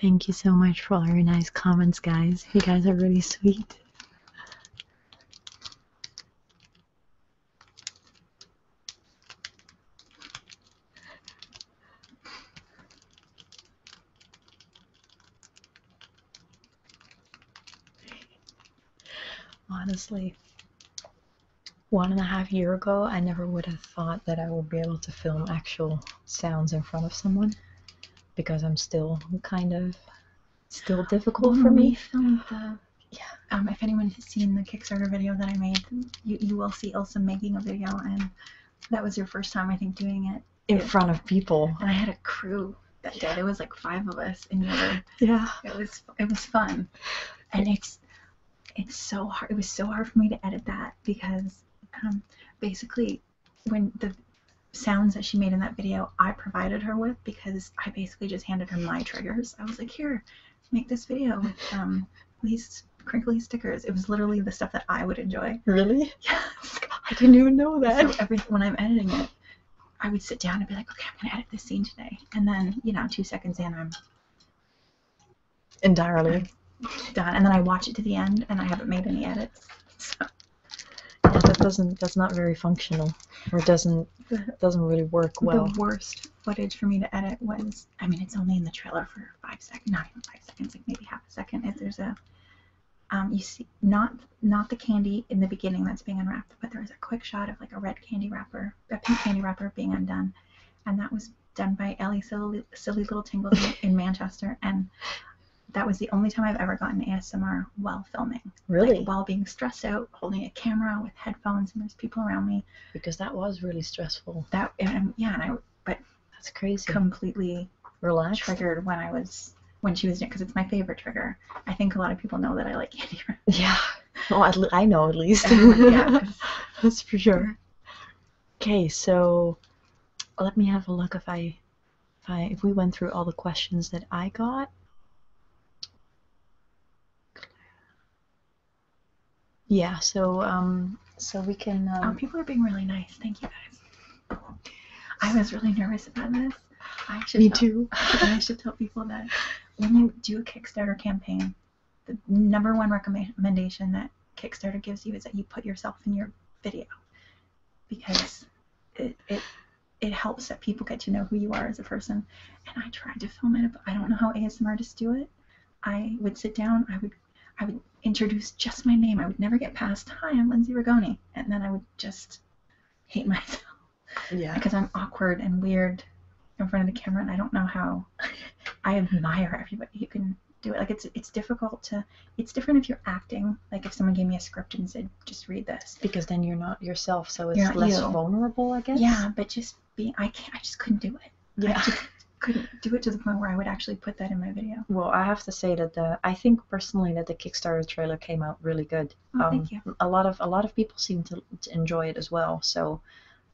Thank you so much for all your nice comments, guys. You guys are really sweet. Honestly, one and a half year ago, I never would have thought that I would be able to film actual sounds in front of someone because I'm still kind of still difficult for me. yeah, um, if anyone has seen the Kickstarter video that I made, you, you will see Ilsa making a video, and that was your first time, I think, doing it in front of people. And I had a crew that day. It was like five of us, and yeah, it was it was fun. And it's it's so hard. It was so hard for me to edit that because um, basically when the sounds that she made in that video, I provided her with because I basically just handed her my triggers. I was like, here, make this video with um, these crinkly stickers. It was literally the stuff that I would enjoy. Really? Yes. I didn't even know that. So every when I'm editing it, I would sit down and be like, okay, I'm gonna edit this scene today, and then you know, two seconds in, I'm entirely done, and then I watch it to the end, and I haven't made any edits. So. that doesn't. That's not very functional, or doesn't doesn't really work well. The worst footage for me to edit was. I mean, it's only in the trailer for five seconds, not even five seconds, like maybe half a second. If there's a um, you see, not not the candy in the beginning that's being unwrapped, but there is a quick shot of like a red candy wrapper, a pink candy wrapper being undone, and that was done by Ellie Silly, Little Tingles in Manchester, and that was the only time I've ever gotten ASMR while filming. Really? while being stressed out, holding a camera with headphones, and there's people around me. Because that was really stressful. That and, yeah, but that's crazy. Completely relaxed. Triggered when I was when she was doing because it's my favorite trigger. I think a lot of people know that I like Candy Yeah. Well, I know at least. yeah. That's for sure. Okay, so let me have a look if I, if I, if we went through all the questions that I got. Yeah, so um, so we can. oh, um, people are being really nice. Thank you guys. I was really nervous about this. I should Me tell, too. I should tell people that when you do a Kickstarter campaign, the number one recommendation that Kickstarter gives you is that you put yourself in your video because it it it helps that people get to know who you are as a person. And I tried to film it, but I don't know how ASMR artists do it. I would sit down, I would I would introduce just my name. I would never get past, hi, I'm Lindsay Rigoni. And then I would just hate myself. Yeah. Because I'm awkward and weird in front of the camera, and I don't know how. I admire everybody who can do it. Like it's it's difficult to. It's different if you're acting. Like if someone gave me a script and said, "Just read this," because then you're not yourself, so it's less vulnerable, I guess. Yeah, but just being, I can't. I just couldn't do it. Yeah. couldn't do it to the point where I would actually put that in my video. Well, I have to say that the I think personally that the Kickstarter trailer came out really good. Um, thank you. A lot of a lot of people seem to, enjoy it as well. So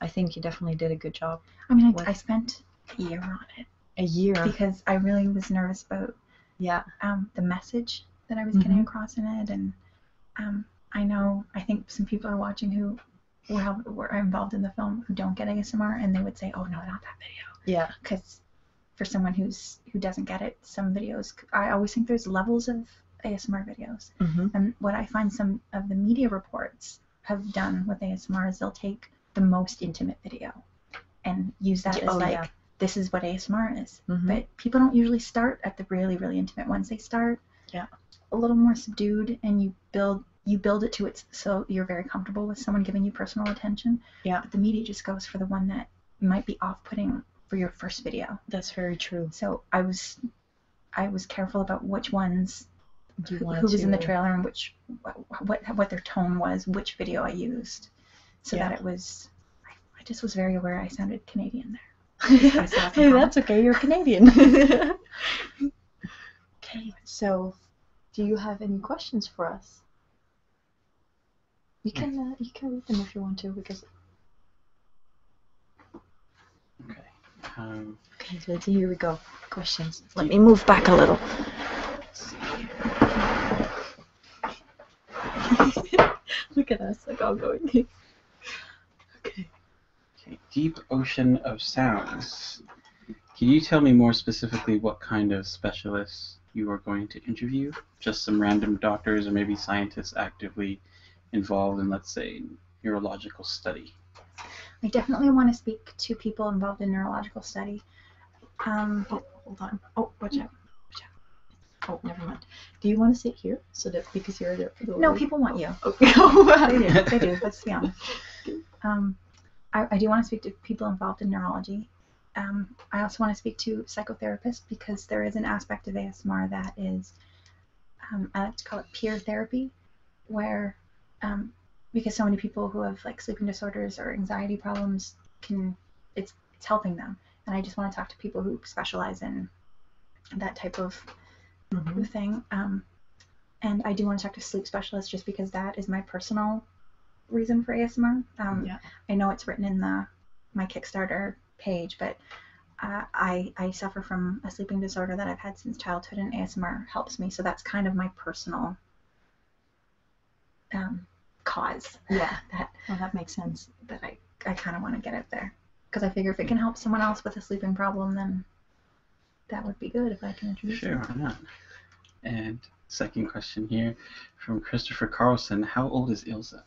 I think you definitely did a good job. I mean, I, spent a year on it. A year. Because I really was nervous about yeah um, the message that I was mm-hmm. getting across in it, and um, I know I think some people are watching who were, were involved in the film who don't get ASMR, and they would say, "Oh no, not that video." Yeah. Because for someone who's who doesn't get it. Some videos, I always think there's levels of ASMR videos, mm-hmm. and what I find some of the media reports have done with ASMR is they'll take the most intimate video and use that as oh, like. this is what ASMR is. Mm-hmm. But people don't usually start at the really, really intimate ones. They start yeah. a little more subdued and you build you build it to it so you're very comfortable with someone giving you personal attention. Yeah. But the media just goes for the one that might be off putting for your first video. That's very true. So I was, I was careful about which ones, who, was in the trailer and which, what, what their tone was, which video I used, so that it was. I, just was very aware I sounded Canadian there. that's okay. You're Canadian. okay. So, do you have any questions for us? You can uh, you can read them if you want to because. Okay. Um, okay, so here we go. Questions. Let me move back a little. Look at us, like all going. okay. Okay. Deep ocean of sounds. Can you tell me more specifically what kind of specialists you are going to interview? just some random doctors or maybe scientists actively involved in, let's say, neurological study? I definitely want to speak to people involved in neurological study. Um, hold on. Oh, watch out. Watch out. Oh, never mind. Do you want to sit here so that because you're the, the no people want you. Oh, okay. Oh, they do. They do. Let's be honest. Um, I, I do want to speak to people involved in neurology. Um, I also want to speak to psychotherapists because there is an aspect of ASMR that is, um, I like to call it peer therapy, where um, because so many people who have like sleeping disorders or anxiety problems can, it's it's helping them, and I just want to talk to people who specialize in that type of mm-hmm. thing. Um, and I do want to talk to sleep specialists just because that is my personal reason for ASMR. yeah. I know it's written in the my Kickstarter page, but uh, I, I suffer from a sleeping disorder that I've had since childhood, and ASMR helps me. So that's kind of my personal um, cause. Yeah, that that makes sense. That I, I kind of want to get out there because I figure if it can help someone else with a sleeping problem, then that would be good if I can introduce. Sure, why not? And second question here from Christopher Carlson: How old is Ilsa?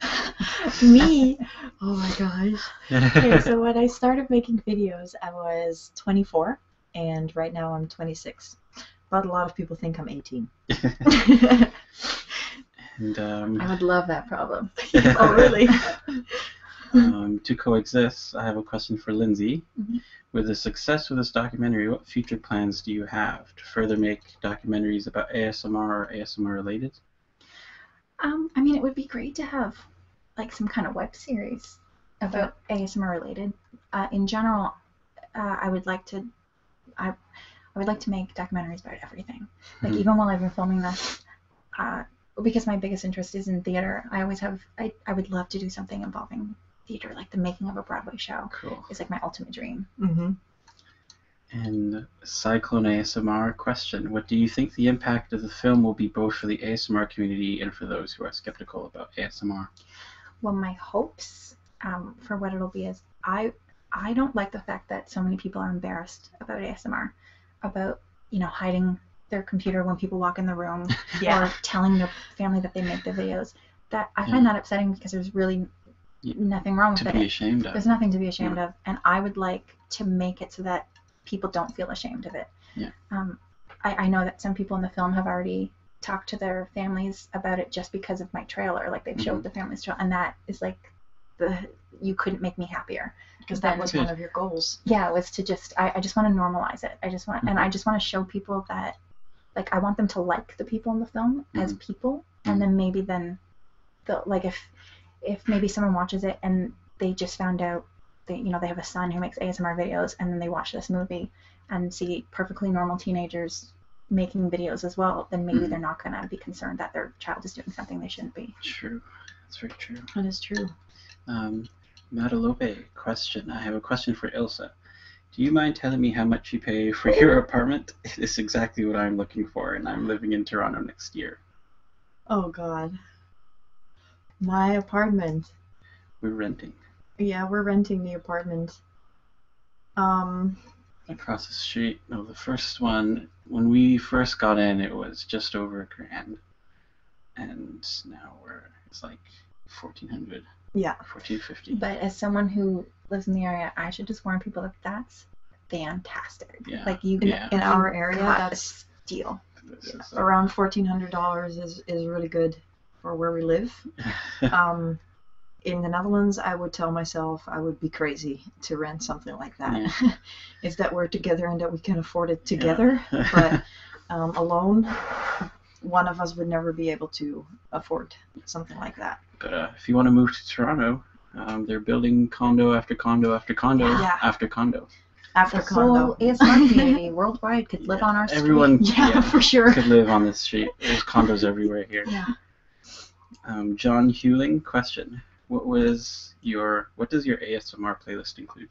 Me? Oh my gosh. Okay, so when I started making videos, I was 24, and right now I'm 26. But a lot of people think I'm 18. and, um, I would love that problem. oh, really? Um, to coexist, I have a question for Lindsay. Mm-hmm. With the success of this documentary, what future plans do you have to further make documentaries about ASMR or ASMR related? Um, I mean, it would be great to have like some kind of web series about ASMR related. Uh, in general, uh, I would like to. I, would like to make documentaries about everything. Like mm-hmm. even while I've been filming this, uh, because my biggest interest is in theater, I always have. I, I would love to do something involving theater, like the making of a Broadway show. Cool. Is like my ultimate dream. Mm-hmm. And Cyclone ASMR question: What do you think the impact of the film will be, both for the ASMR community and for those who are skeptical about ASMR? Well, my hopes um, for what it'll be is I I don't like the fact that so many people are embarrassed about ASMR, about you know hiding their computer when people walk in the room or telling their family that they make the videos. That I find that upsetting because there's really nothing wrong with it. There's nothing to be ashamed of, and I would like to make it so that people don't feel ashamed of it. Yeah. Um, I, I know that some people in the film have already talked to their families about it just because of my trailer. Like they've showed mm-hmm. the family's trailer, and that is like the you couldn't make me happier because that was one of your goals. Yeah, was to just I, I just want to normalize it. I just want and mm-hmm. I just want to show people that like I want them to like the people in the film as mm-hmm. people and then maybe then like if if maybe someone watches it and they just found out that you know they have a son who makes ASMR videos and then they watch this movie and see perfectly normal teenagers making videos as well, then maybe hmm. they're not gonna be concerned that their child is doing something they shouldn't be. True. That's very true. That is true. Um, Madalope, question. I have a question for Ilsa. Do you mind telling me how much you pay for your apartment? it is exactly what I'm looking for, and I'm living in Toronto next year. Oh God. My apartment. We're renting. Yeah, we're renting the apartment. Um. Across the street, no, the first one. When we first got in, it was just over a grand, and now we're it's like fourteen hundred. Yeah. Fourteen fifty. But as someone who lives in the area, I should just warn people that that's fantastic. Like you in our area that's Around fourteen hundred dollars is is really good for where we live. Um, in the Netherlands, I would tell myself I would be crazy to rent something like that. if that were together and that we can afford it together, but um, alone, one of us would never be able to afford something like that. But uh, if you want to move to Toronto, um, they're building condo after condo after condo after condo. After condo. whole ASMR community worldwide could live on our street. Everyone, yeah, for sure, could live on this street. There's condos everywhere here. Yeah. Um, John Hewling, question: What was your what does your ASMR playlist include?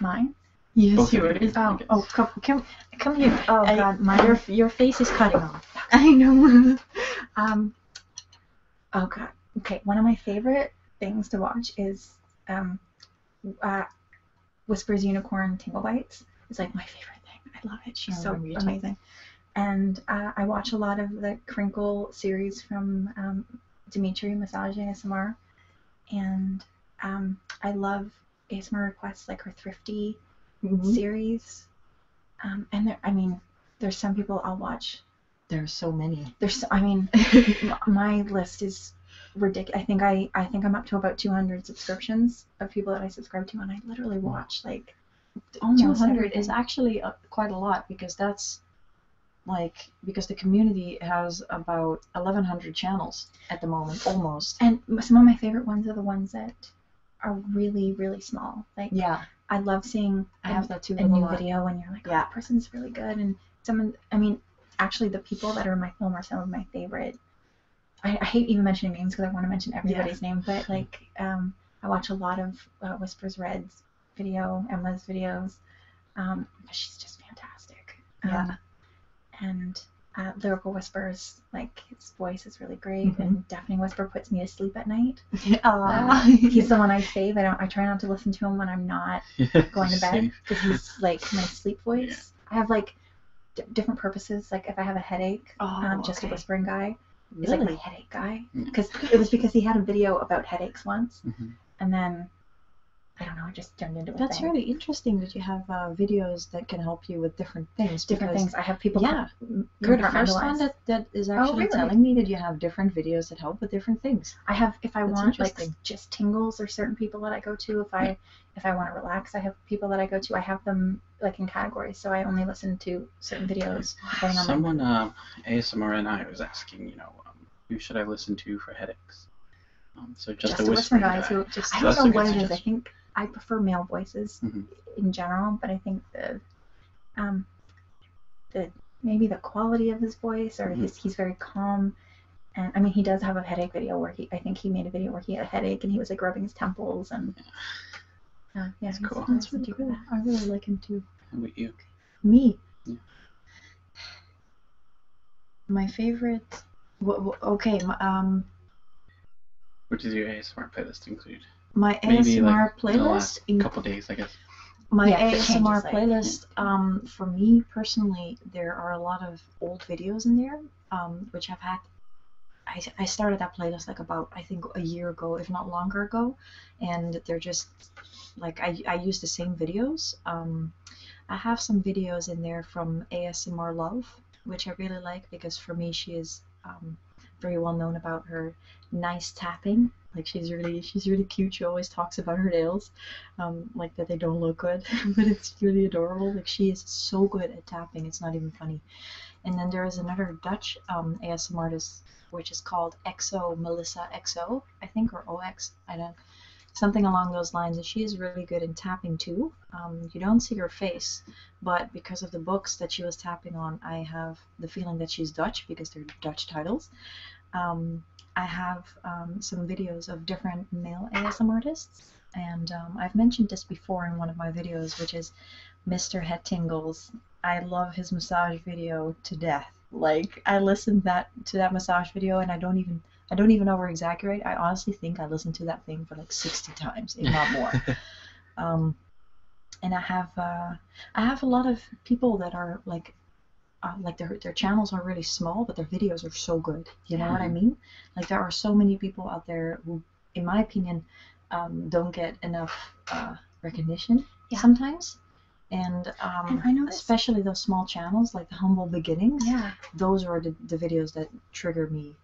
Mine. Yes, Both yours. Oh, oh, come, come, here. Oh God, my your your face is cutting off. I know. um, Oh god. Okay, one of my favorite things to watch is um, uh, Whispers Unicorn Tingle Bites. It's like my favorite thing. I love it. She's oh, so amazing. And uh, I watch a lot of the Crinkle series from um, Dimitri Massage ASMR, and um, I love ASMR requests like her Thrifty mm-hmm. series. Um, and there, I mean, there's some people I'll watch there are so many. There's, I mean, my list is ridiculous. I think I, I think I'm up to about 200 subscriptions of people that I subscribe to, and I literally hmm. watch like 200 is actually quite a lot because that's like because the community has about 1100 channels at the moment almost and some of my favorite ones are the ones that are really really small like yeah I love seeing I have that too a new video when you're like, oh, that person's really good, and someone. I mean, actually, the people that are in my film are some of my favorite. I, hate even mentioning names because I want to mention everybody's name, but like, um, I watch a lot of uh, Whispers Red's video, Emma's videos. Um, she's just fantastic. Yeah. Um, and uh, lyrical whispers, like his voice is really great, mm-hmm. and deafening whisper puts me to sleep at night night. Uh, he's the one I save. I don't. I try not to listen to him when I'm not going to bed because he's like my sleep voice. I have like different purposes. Like if I have a headache, oh, um, just a whispering guy. Really? He's like my headache guy because mm. it was because he had a video about headaches once, mm-hmm. and then I don't know, I just jumped into it. That's really interesting that you have uh, videos that can help you with different things. Different things. I have people. Yeah, you're the first one that that is oh, actually telling me that you have different videos that help with different things. I have if I want like just tingles or certain people that I go to. If I if I want to relax, I have people that I go to. I have them like in categories, so I only listen to certain videos. Someone uh, um, ASMR and I was asking, you know, um, who should I listen to for headaches? Um, so just, a whisper guy. I don't know what it is. I think I prefer male voices mm-hmm. in general, but I think the um, maybe the quality of his voice or mm he's very calm and i mean he does have a headache video where he i think he made a video where he had a headache and he was like rubbing his temples and yeah uh, that's cool i really like him too how about you me my favorite okay um what does your asmr playlist include my ASMR playlist. A couple days, I guess. My ASMR playlist. Um, for me personally, there are a lot of old videos in there, um, which I've had. I, I started that playlist like about I think a year ago, if not longer ago, and they're just like I I use the same videos. Um, I have some videos in there from ASMR Love, which I really like because for me she is um, very well known about her nice tapping. Like she's really she's really cute. She always talks about her nails, um, like that they don't look good, but it's really adorable. Like she is so good at tapping, it's not even funny. And then there is another Dutch um, ASMR artist, which is called Exo Melissa Exo, I think, or OX, I don't, something along those lines. And she is really good in tapping too. Um, you don't see her face, but because of the books that she was tapping on, I have the feeling that she's Dutch because they're Dutch titles. Um, I have um, some videos of different male ASM artists, and um, I've mentioned this before in one of my videos, which is Mr. Head Tingles. I love his massage video to death. Like I listened that to that massage video, and I don't even I don't even over exaggerate. I honestly think I listened to that thing for like 60 times, if not more. and I have uh, I have a lot of people that are like, uh, like their their channels are really small, but their videos are so good. You know what I mm-hmm. mean? Like there are so many people out there who, in my opinion, um, don't get enough uh, recognition sometimes. And, um, especially those small channels like the humble beginnings. Yeah, those are the, the videos that trigger me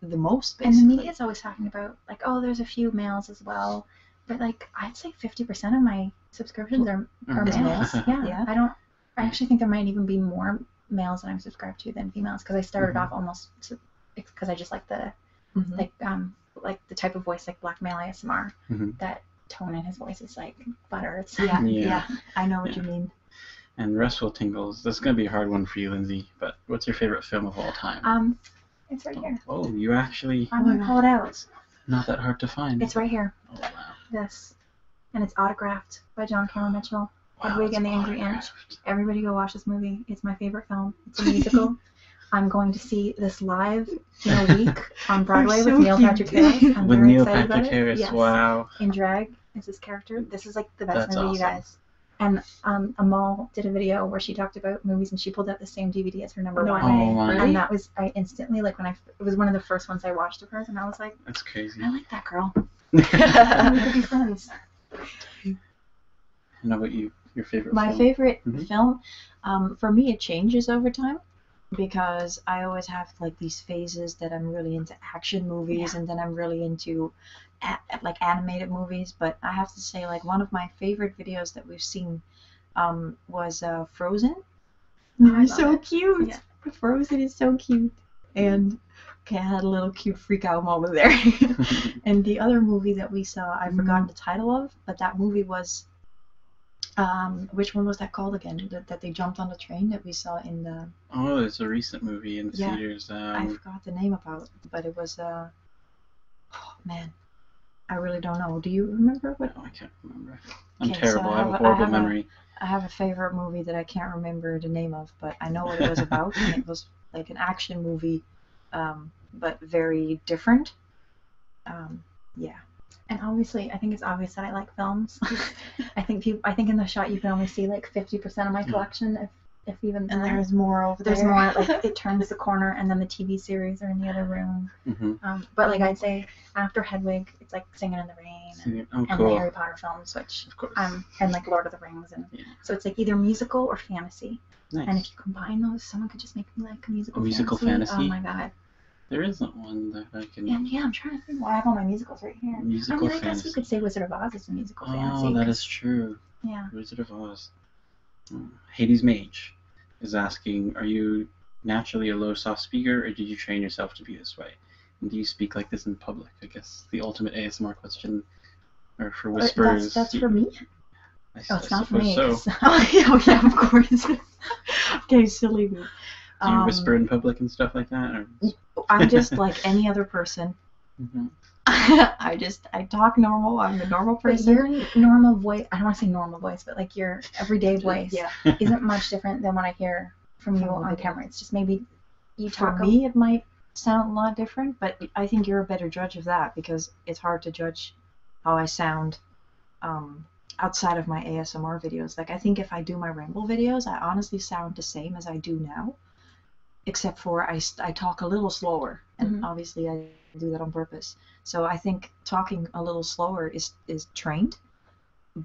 the most. And the media is always talking about like, oh, there's a few males as well but like I'd say fifty percent of my subscriptions are mm. males. Yeah. I don't. I actually think there might even be more males that I'm subscribed to than females because I started mm-hmm. off almost because I just like the mm-hmm. like um like the type of voice like black male ASMR that tone in his voice is like butter. yeah, yeah. I know what you mean. And restful tingles. That's gonna be a hard one for you, Lindsay. But what's your favorite film of all time? Um, it's right here. Oh, oh, you actually. I'm gonna pull it out. Not that hard to find. It's right here. Oh wow. This, and it's autographed by John Carroll Mitchell. Wow, Hedwig and the Angry Inch. Everybody go watch this movie. It's my favorite film. It's a musical. I'm going to see this live in a week on Broadway with Neil Patrick Harris. with Neil Patrick Harris. Wow. In drag is his character. This is like the best movie, you guys. And um, Amal did a video where she talked about movies, and she pulled out the same DVD as her number one. Oh, and that was. I instantly like when I it was one of the first ones I watched of hers, and I was like, that's crazy. I like that girl. I'm gonna be friends. And how you? Your favorite? My favorite mm-hmm. film, um, for me, it changes over time because I always have like these phases that I'm really into action movies, and then I'm really into like animated movies. But I have to say, like one of my favorite videos that we've seen um, was uh, Frozen. Oh, mm-hmm. so cute. Yeah. Frozen is so cute. And okay, I had a little cute freak out moment there. and the other movie that we saw, I mm-hmm. forgot the title of, but that movie was um, which one was that called again? That, that, they jumped on the train that we saw in the. Oh, it's a recent movie in the theaters. I um, forgot the name about, but it was. Uh... Oh man, I really don't know. Do you remember what? Oh, I can't remember. I'm terrible. I, have, a horrible memory. A, I have a favorite movie that I can't remember the name of, but I know what it was about. and it was like an action movie, um, but very different. Um, yeah. And obviously, I think it's obvious that I like films. I think people. I think in the shot you can only see like 50% of my hmm. collection, if if even. And there's more over there's there. There's more. Like it turns the corner, and then the TV series are in the other room. Mm-hmm. Um, but like I'd say, after Hedwig, it's like Singing in the Rain and, oh, the Harry Potter films, which um, and like Lord of the Rings, and so it's like either musical or fantasy. Nice. And if you combine those, someone could just make me like a musical. fantasy. Oh my god. There isn't one that I can. And yeah, I'm trying to think. Well, I have all my musicals right here. Musical I I guess you could say Wizard of Oz is a musical oh, fantasy. Oh, that is true. Yeah. Wizard of Oz. Hmm. Hades Mage is asking, are you naturally a low soft speaker or did you train yourself to be this way? And do you speak like this in public? I guess the ultimate ASMR question or for whispers. That's, for me? I, oh, it's not for me. Oh, oh, yeah, of course. okay, silly Do you whisper um, in public and stuff like that? Or? I'm just like any other person. Mm-hmm. I just I talk normal. I'm a normal person. your normal voice. I don't want to say normal voice, but like your everyday voice isn't much different than what I hear from you on camera. It's just maybe you talk. For me, it might sound a lot different, but I think you're a better judge of that because it's hard to judge how I sound um, outside of my ASMR videos. Like I think if I do my ramble videos, I honestly sound the same as I do now, except for I, I talk a little slower, and mm-hmm. obviously I do that on purpose. So I think talking a little slower is is trained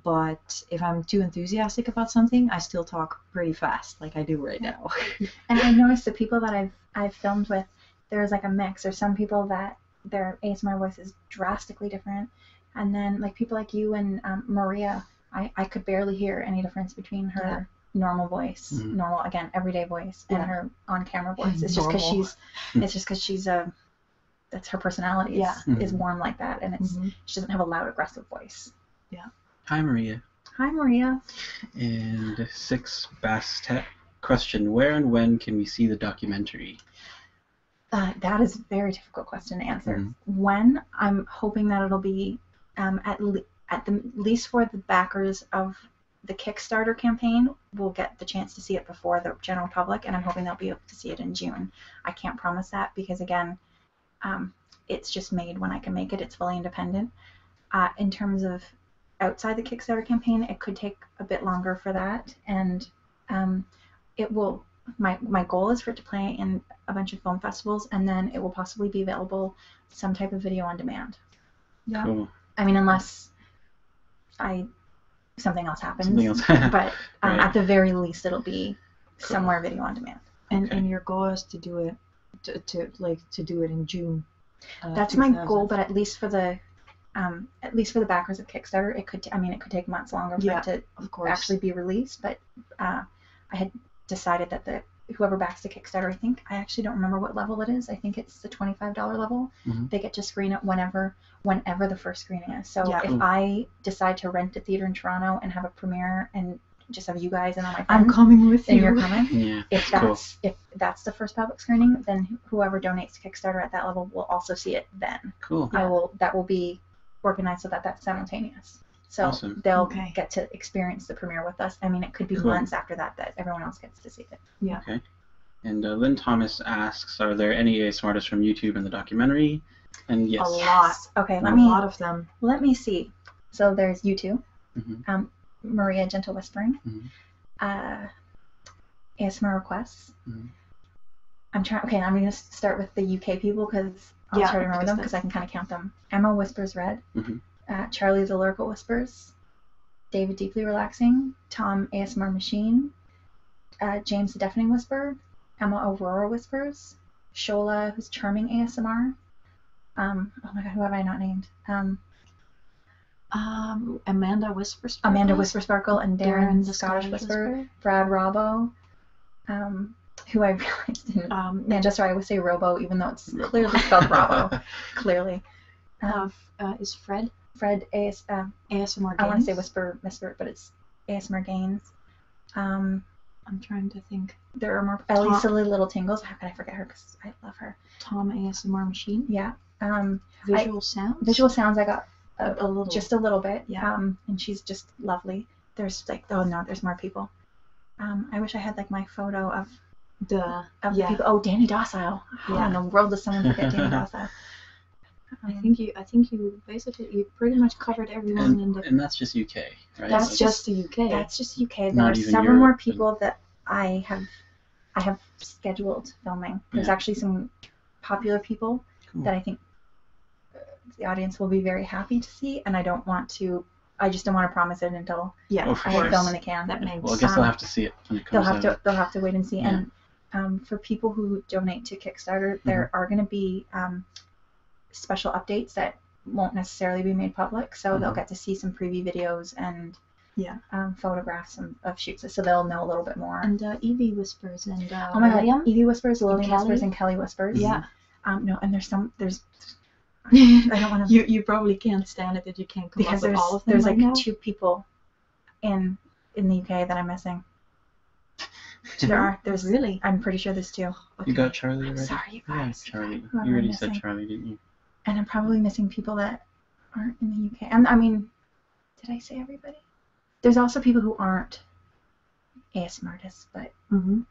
but if I'm too enthusiastic about something, I still talk pretty fast, like I do right now. and i noticed the people that I've I've filmed with, there's like a mix. There's some people that their ASMR voice is drastically different, and then like people like you and um, Maria, I I could barely hear any difference between her normal voice, mm-hmm. normal again everyday voice, and her on camera voice. It's just because she's hmm. it's just because she's a that's her personality. Yeah. Is, warm like that, and it's mm-hmm. she doesn't have a loud, aggressive voice. Yeah. Hi, Maria. Hi, Maria. And six Bastet question: Where and when can we see the documentary? Uh, that is a very difficult question to answer. Mm-hmm. When I'm hoping that it'll be um, at at the least for the backers of the Kickstarter campaign, we will get the chance to see it before the general public, and I'm hoping they'll be able to see it in June. I can't promise that because, again, um, it's just made when I can make it. It's fully independent. Uh, in terms of outside the Kickstarter campaign, it could take a bit longer for that, and um, it will. My my goal is for it to play in a bunch of film festivals, and then it will possibly be available some type of video on demand. Yeah. I mean, unless I something else happens. but um, at the very least, it'll be somewhere video on demand. And and your goal is to do it to, to like to do it in June. Uh, That's my goal, but at least for the um, at least for the backers of Kickstarter, it could I mean it could take months longer to actually be released. But uh, I had decided that the whoever backs the Kickstarter, I think I actually don't remember what level it is. I think it's the twenty-five dollar level. Mm-hmm. They get to screen it whenever whenever the first screening is. So if mm. I decide to rent a theater in Toronto and have a premiere and just have you guys and all my I'm coming with you. You're coming. Yeah, if that's if that's the first public screening, then whoever donates to Kickstarter at that level will also see it then. Cool. I will. That will be organized so that that's simultaneous. So they'll get to experience the premiere with us. I mean, it could be months after that that everyone else gets to see it. Yeah. And uh, Lynn Thomas asks, are there any ASM artists from YouTube in the documentary? And yes. A lot. Okay, let a me. A lot of them. Let me see. So there's you 2 mm-hmm. um, Maria Gentle Whispering, mm-hmm. uh, ASMR requests. Mm-hmm. I'm trying. Okay, I'm gonna start with the UK people because i am yeah, try to remember them because I can kind of count them. Emma Whispers Red, uh, Charlie the Lyrical Whispers, David Deeply Relaxing, Tom ASMR Machine, uh, James the Deafening whisper, Emma Aurora Whispers, Shola, who's charming ASMR. Um, oh my god, who have I not named? Um, um, Amanda whispers, Amanda Whisper Sparkle and Darren, the Scottish, Whisper, Brad Robo, who I realized didn't. Um, Manchester, I would say Robo, even though it's clearly spelled Robbo. Clearly. Uh, uh, is Fred? Fred AS, uh, ASMR Games. I want to say Whisper Whisper, but it's gains, ASMR um, gains. I'm trying to think. There are more Ellie Tom. Silly Little Tingles. How could I forget her? Because I love her. Tom ASMR Machine. Yeah. Um, visual sounds. Visual sounds. I got a, little, just a little bit. Yeah. Um, and she's just lovely. There's like oh no, there's more people. I wish I had like my photo of the of the people. Oh, Danny Docile. yeah. in the world does someone forget Danny Docile? I um, think you. I think you basically you pretty much covered everyone and, in the. And that's just UK, right? That's, just the UK. That's just UK. There are several more people that I have, I have scheduled filming. There's actually some popular people that I think uh, the audience will be very happy to see, and I don't want to. I just don't want to promise it until yeah, I oh, film in the can. That makes. Well, I guess they'll have to see it They'll have to. They'll have to wait and see. And um, for people who donate to Kickstarter, mm-hmm. there are going to be um, special updates that won't necessarily be made public, so they'll mm-hmm. get to see some preview videos and um, photographs of shoots, so they'll know a little bit more. And uh, Evie whispers and uh, oh my god, Evie whispers, and Kelly whispers. Yeah. no, and there's some there's I don't want to. you probably can't stand it that you can't because There's like two people in in the UK that I'm missing. there are. There's really. I'm pretty sure there's two. You got Charlie already. Sorry, you guys. you already said Charlie, didn't you? And I'm probably missing people that aren't in the UK. And I mean, did I say everybody? There's also people who aren't ASM artists, but mm-hmm.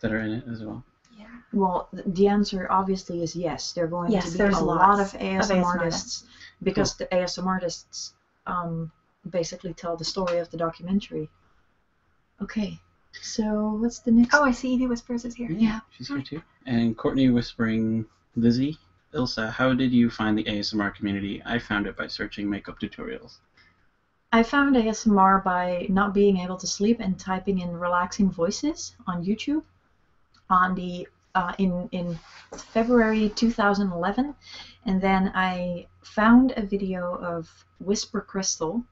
that are in it as well. Yeah. Well, the answer obviously is yes. they are going to be a lot of ASM, artists, because the ASM artists um, basically tell the story of the documentary. Okay, so what's the next? Oh, I see Evie Whispers is here. Yeah, she's here too. And Courtney whispering, Lizzie, Ilsa, how did you find the ASMR community? I found it by searching makeup tutorials. I found ASMR by not being able to sleep and typing in relaxing voices on YouTube. On the uh, in in February 2011, and then I found a video of Whisper Crystal,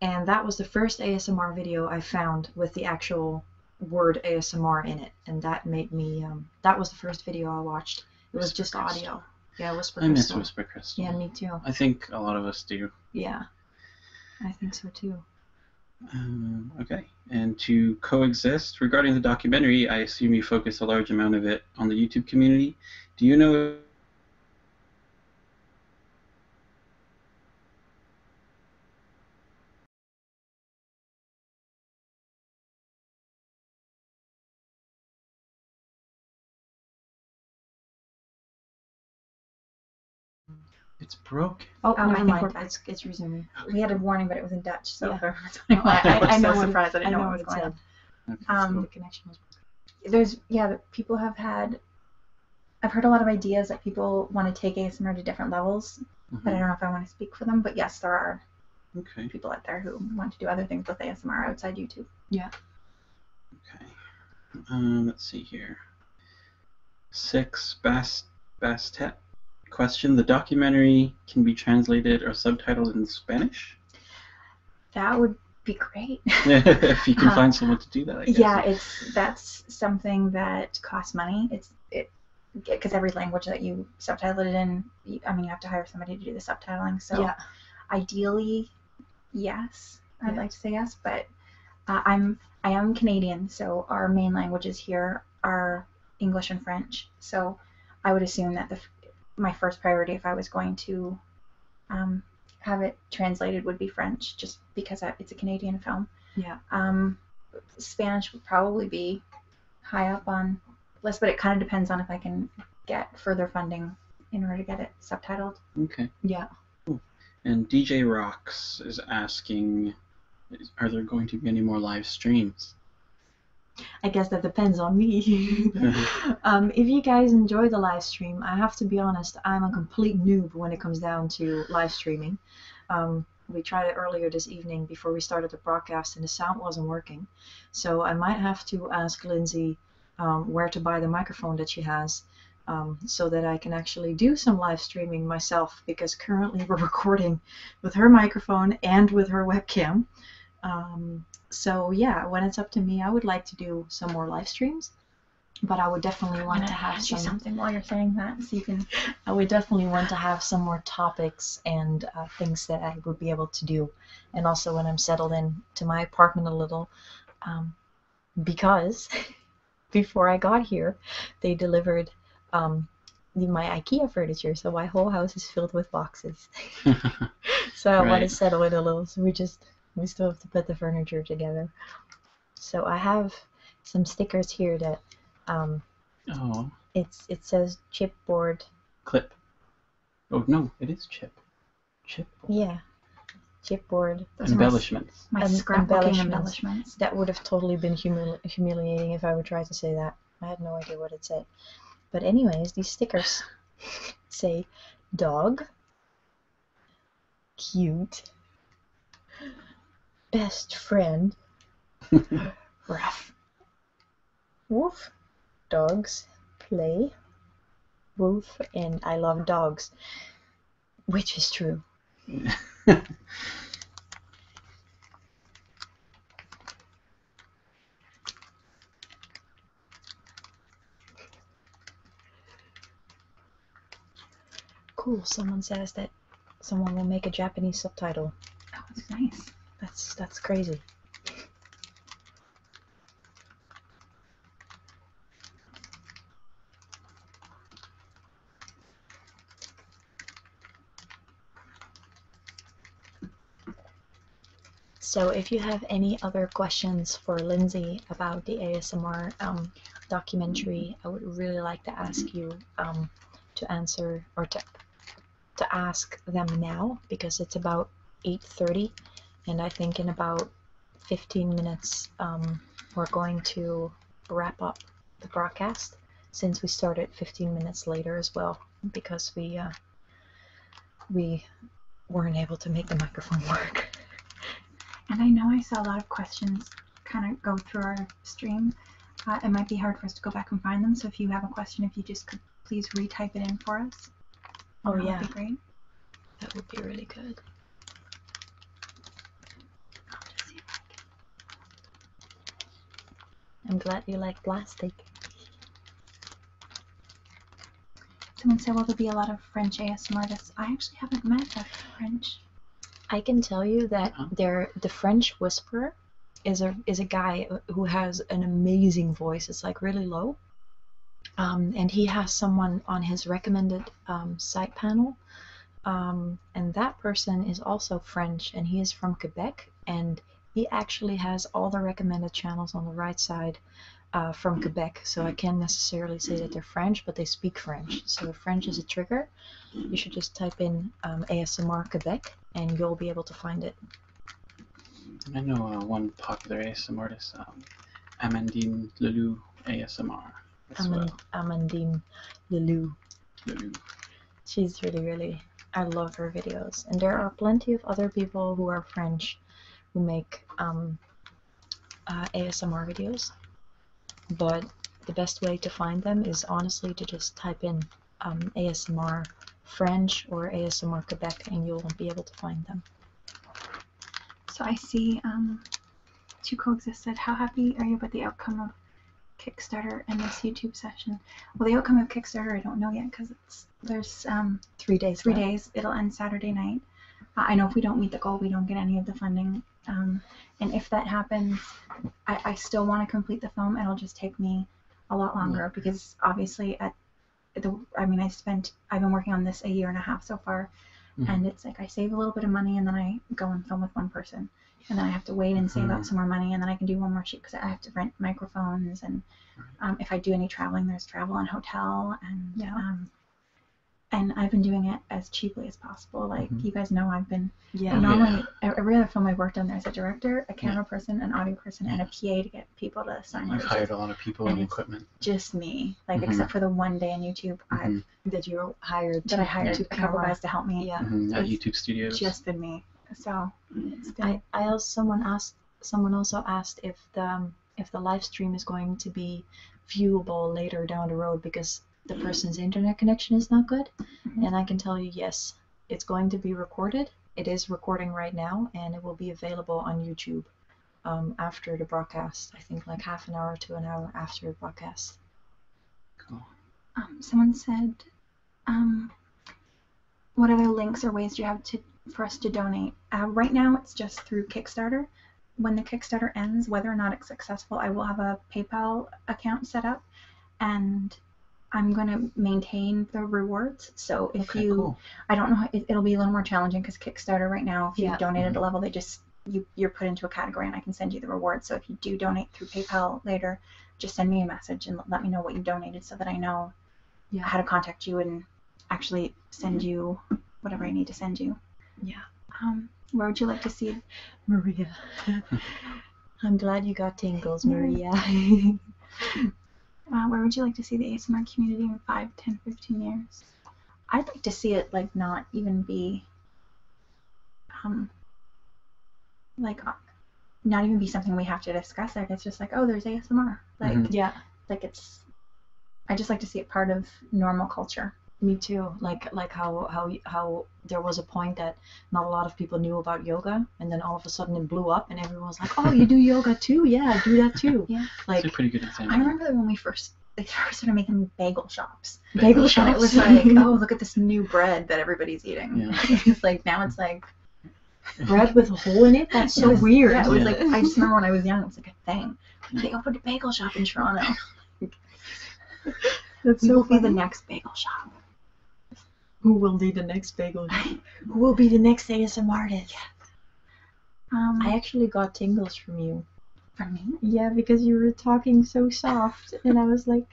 and that was the first ASMR video I found with the actual word ASMR in it. And that made me, um, that was the first video I watched. It was just audio. Yeah, Whisper Crystal. I miss Whisper Crystal. Yeah, me too. I think a lot of us do. Yeah, I think so too. Um, okay. And to coexist, regarding the documentary, I assume you focus a large amount of it on the YouTube community. Do you know It's broken. Oh, oh never It's, it's resuming. We had a warning, but it was in Dutch. So I, am I surprised I didn't know, know what was going on. the connection was there's yeah, people have had. I've heard a lot of ideas that people want to take ASMR to different levels, mm-hmm. but I don't know if I want to speak for them. But yes, there are people out there who want to do other things with ASMR outside YouTube. Yeah. Okay. Um, let's see here. Six best Bastet question: The documentary can be translated or subtitled in Spanish? That would be great. if you can uh, find someone to do that, Yeah, it's that's something that costs money. It's it because every language that you subtitle it in, I mean, you have to hire somebody to do the subtitling. So, yeah. ideally, yes, I'd like to say yes, but uh, I'm I am Canadian, so our main languages here are English and French. So I would assume that the, my first priority, if I was going to um, have it translated, would be French, just because it's a Canadian film. Yeah. Um, Spanish would probably be high up on the list, but it kind of depends on if I can get further funding in order to get it subtitled. Okay. Yeah. And DJ Rocks is asking, are there going to be any more live streams? I guess that depends on me. Um, if you guys enjoy the live stream, I have to be honest, I'm a complete noob when it comes down to live streaming. Um, we tried it earlier this evening before we started the broadcast, and the sound wasn't working. So I might have to ask Lindsay um, where to buy the microphone that she has. so that I can actually do some live streaming myself because currently we're recording with her microphone and with her webcam. Um, so yeah, when it's up to me, I would like to do some more live streams, but I would definitely want to have something while you're saying that, so I would definitely want to have some more topics and uh, things that I would be able to do, and also when I'm settled in to my apartment a little, um, because before I got here, they delivered um, my IKEA furniture, so my whole house is filled with boxes. so I want to settle it a little. So we just we still have to put the furniture together. So I have some stickers here that um, oh. it's it says chipboard. Clip. Oh no, it is chip. Chipboard. Yeah. Chipboard. embellishments. My, my embellishments. That would have totally been humiliating if I would try to say that. I have no idea what it said. But anyways, these stickers say dog, cute, best friend, rough, wolf, dogs, play, wolf, and I love dogs, which is true. Cool, someone says that someone will make a Japanese subtitle. Oh, that's nice. That's that's crazy. So if you have any other questions for Lindsay about the ASMR um, documentary, I would really like to ask you um, to answer or to, to ask them now because it's about 8.30 and I think in about 15 minutes um, we're going to wrap up the broadcast since we started 15 minutes later as well because we uh, we weren't able to make the microphone work. and I know I saw a lot of questions kind of go through our stream. Uh, it might be hard for us to go back and find them. So if you have a question, if you just could please retype it in for us. Oh yeah, that would be great. That would be really good. I'm glad you like plastic. Someone said, "Well, there will be a lot of French ASMR artists?" I actually haven't met a French. I can tell you that there, the French whisperer, is a is a guy who has an amazing voice. It's like really low, um, and he has someone on his recommended um, site panel, um, and that person is also French, and he is from Quebec and he actually has all the recommended channels on the right side uh, from Quebec. So I can't necessarily say that they're French, but they speak French. So French is a trigger. You should just type in um, ASMR Quebec, and you'll be able to find it. I know uh, one popular ASMR artist, um, Amandine Leloux ASMR. Amand well. Amandine Leloux. Leloux. She's really, really I love her videos, and there are plenty of other people who are French Twitch who make um, uh, ASMR videos, but the best way to find them is honestly to just type in um, ASMR French or ASMR Quebec and you'll be able to find them. So I see um, two coexist said, How happy are you about the outcome of Kickstarter and this YouTube session? Well, the outcome of Kickstarter I don't know yet because there's um, three days. Three days. It'll end Saturday night. Uh, I know if we don't meet the goal, we don't get any of the funding. Um, and if that happens, I, still want to complete the film. It'll just take me a lot longer because obviously at the I mean I spent I've been working on this a year and a half so far, mm-hmm. and it's like I save a little bit of money and then I go and film with one person, and then I have to wait and save up mm-hmm. some more money and then I can do one more shoot because I have to rent microphones and um, if I do any traveling, there's travel and hotel, and um, and I've been doing it as cheaply as possible. Like mm-hmm. you guys know, I've been yeah. every other film I've worked on, there's a director, a camera person, an audio person, and a PA to get people to sign. I've hired a lot of people and, equipment. Just me, like mm-hmm. except for the one day on YouTube, mm I've you hire? Did I hired yeah. a guys to help me. Yeah, at YouTube studios. Just been me. So I, I also someone asked someone also asked if the um, if the live stream is going to be viewable later down the road because the person's internet connection is not good. Mm-hmm. And I can tell you, yes, it's going to be recorded. It is recording right now, and it will be available on YouTube um, after the broadcast. I think like half an hour to an hour after the broadcast. Cool. Um, someone said, what other links or ways do you have for us to donate? Um, right now, it's just through Kickstarter. When the Kickstarter ends, whether or not it's successful, I will have a PayPal account set up, and I'm going to maintain the rewards. So if you, I don't know, it, will be a little more challenging because Kickstarter right now, if you yeah. donate at a level, they just you you're put into a category, and I can send you the reward. So if you do donate through PayPal later, just send me a message and let me know what you donated so that I know how to contact you and actually send mm-hmm. you whatever I need to send you. Yeah. Um, where would you like to see Maria? I'm glad you got tingles, Maria. Uh, where would you like to see the ASMR community in 5, 10, 15 years? I'd like to see it like not even be um like uh, not even be something we have to discuss. Like it's just like, oh, there's ASMR. Like mm-hmm. yeah, like it's i just like to see it part of normal culture me too like like how how how there was a point that not a lot of people knew about yoga and then all of a sudden it blew up and everyone was like oh you do yoga too yeah do that too yeah like it's a pretty good example. i remember when we first they first started making bagel shops bagel, shops it was like oh look at this new bread that everybody's eating yeah. it's like now it's like bread with a hole in it? That's so weird. I was like, I just remember when I was young, it was like a thing. They opened a bagel shop in Toronto. That's so Who will be the next bagel shop? Who will be the next bagel shop? Who will be the next ASM artist? Yes. Um, I actually got tingles from you. From me? Yeah, because you were talking so soft, and I was like,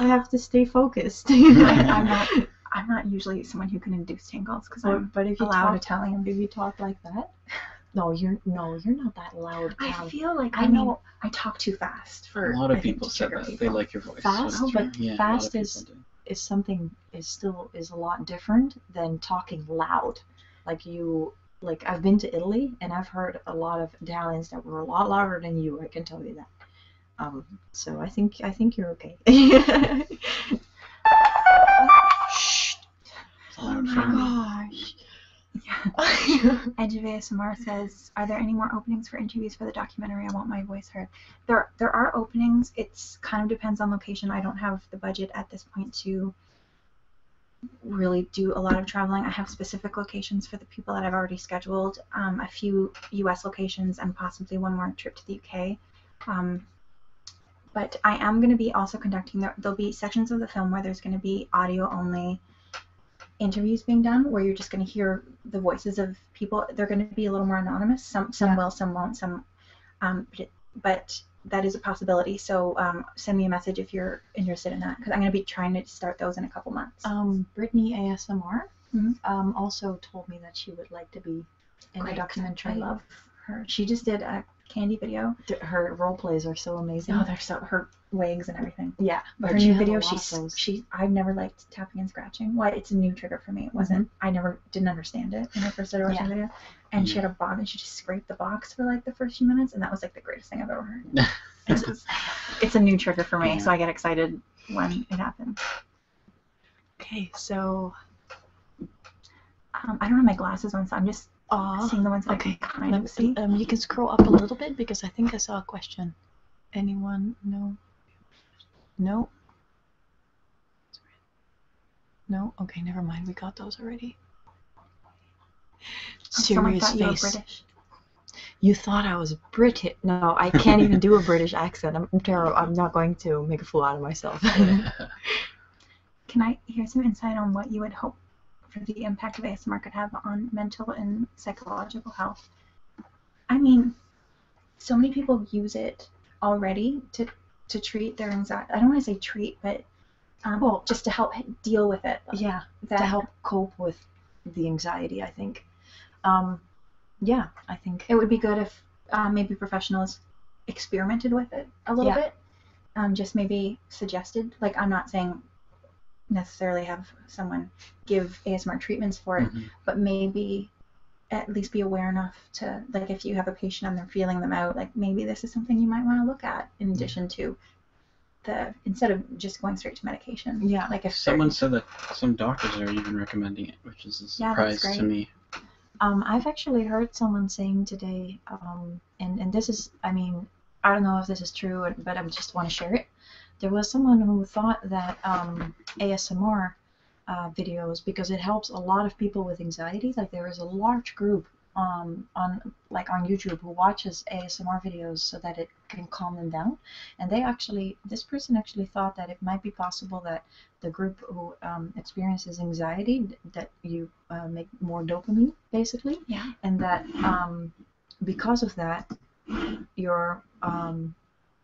I have to stay focused. I'm not. I'm not usually someone who can induce gives because I'm. But if you allowed Italian, if you talk like that, no, you're no, you're not that loud. I feel like I, know I talk too fast. For a lot of people said that they like your voice. Fast, but fast is is something is still is a lot different than talking loud. Like you, like I've been to Italy and I've heard a lot of Italians that were a lot louder than you. I can tell you that. Um, so I think I think you're okay. Shh. Oh my gosh. Yeah. Edge of says, "Are there any more openings for interviews for the documentary? I want my voice heard." There, there are openings. It kind of depends on location. I don't have the budget at this point to really do a lot of traveling. I have specific locations for the people that I've already scheduled. Um, a few U.S. locations and possibly one more trip to the U.K. Um, but I am going to be also conducting, there'll be sections of the film where there's going to be audio only interviews being done where you're just going to hear the voices of people. They're going to be a little more anonymous. Some, some will, some won't, some, um, but, that is a possibility. So um, send me a message if you're interested in that because I'm going to be trying to start those in a couple months. Um, Brittany ASMR mm-hmm. also told me that she would like to be and Great. documentary. I love her. She just did a candy video. Her role plays are so amazing. Oh, they're so her wigs and everything. Yeah, her new video, she's she. I've never liked tapping and scratching. Why? It's a new trigger for me. It wasn't. Mm-hmm. I never didn't understand it when I first started watching video. And she had a box, and she just scraped the box for like the first few minutes, and that was like the greatest thing I've ever heard. it's, a new trigger for me, so I get excited when it happens. Okay, so um, I don't have my glasses on, so I'm just ah, seeing the ones okay. I can kind see. Um, you can scroll up a little bit because I think I saw a question. Anyone? No. No. No. Okay, never mind. We got those already. Oh, Serious face. you thought I was British. No, I can't even do a British accent. I'm terrible. I'm not going to make a fool out of myself. Can I hear some insight on what you would hope for the impact of ASMR could have on mental and psychological health? I mean, so many people use it already to to treat their anxiety. I don't want to say treat, but um, well, just to help deal with it. Yeah, to help cope with the anxiety. I think. Um, yeah, I think it would be good if um, maybe professionals experimented with it a little bit. Um, just maybe suggested. Like, I'm not saying necessarily have someone give ASMR treatments for it, mm-hmm. but maybe at least be aware enough to, like, if you have a patient and they're feeling them out, like, maybe this is something you might want to look at in addition to the, instead of just going straight to medication. Yeah. Like, if someone said that some doctors are even recommending it, which is a surprise to me. Um, I've actually heard someone saying today, um, and and this is, I mean, I don't know if this is true, but I just want to share it. There was someone who thought that um, ASMR uh, videos, because it helps a lot of people with anxiety, like there is a large group on like on YouTube who watches ASMR videos so that it can calm them down. And they actually, this person actually thought that it might be possible that the group who um, experiences anxiety that you uh, make more dopamine basically yeah. and that um, because of that you're um,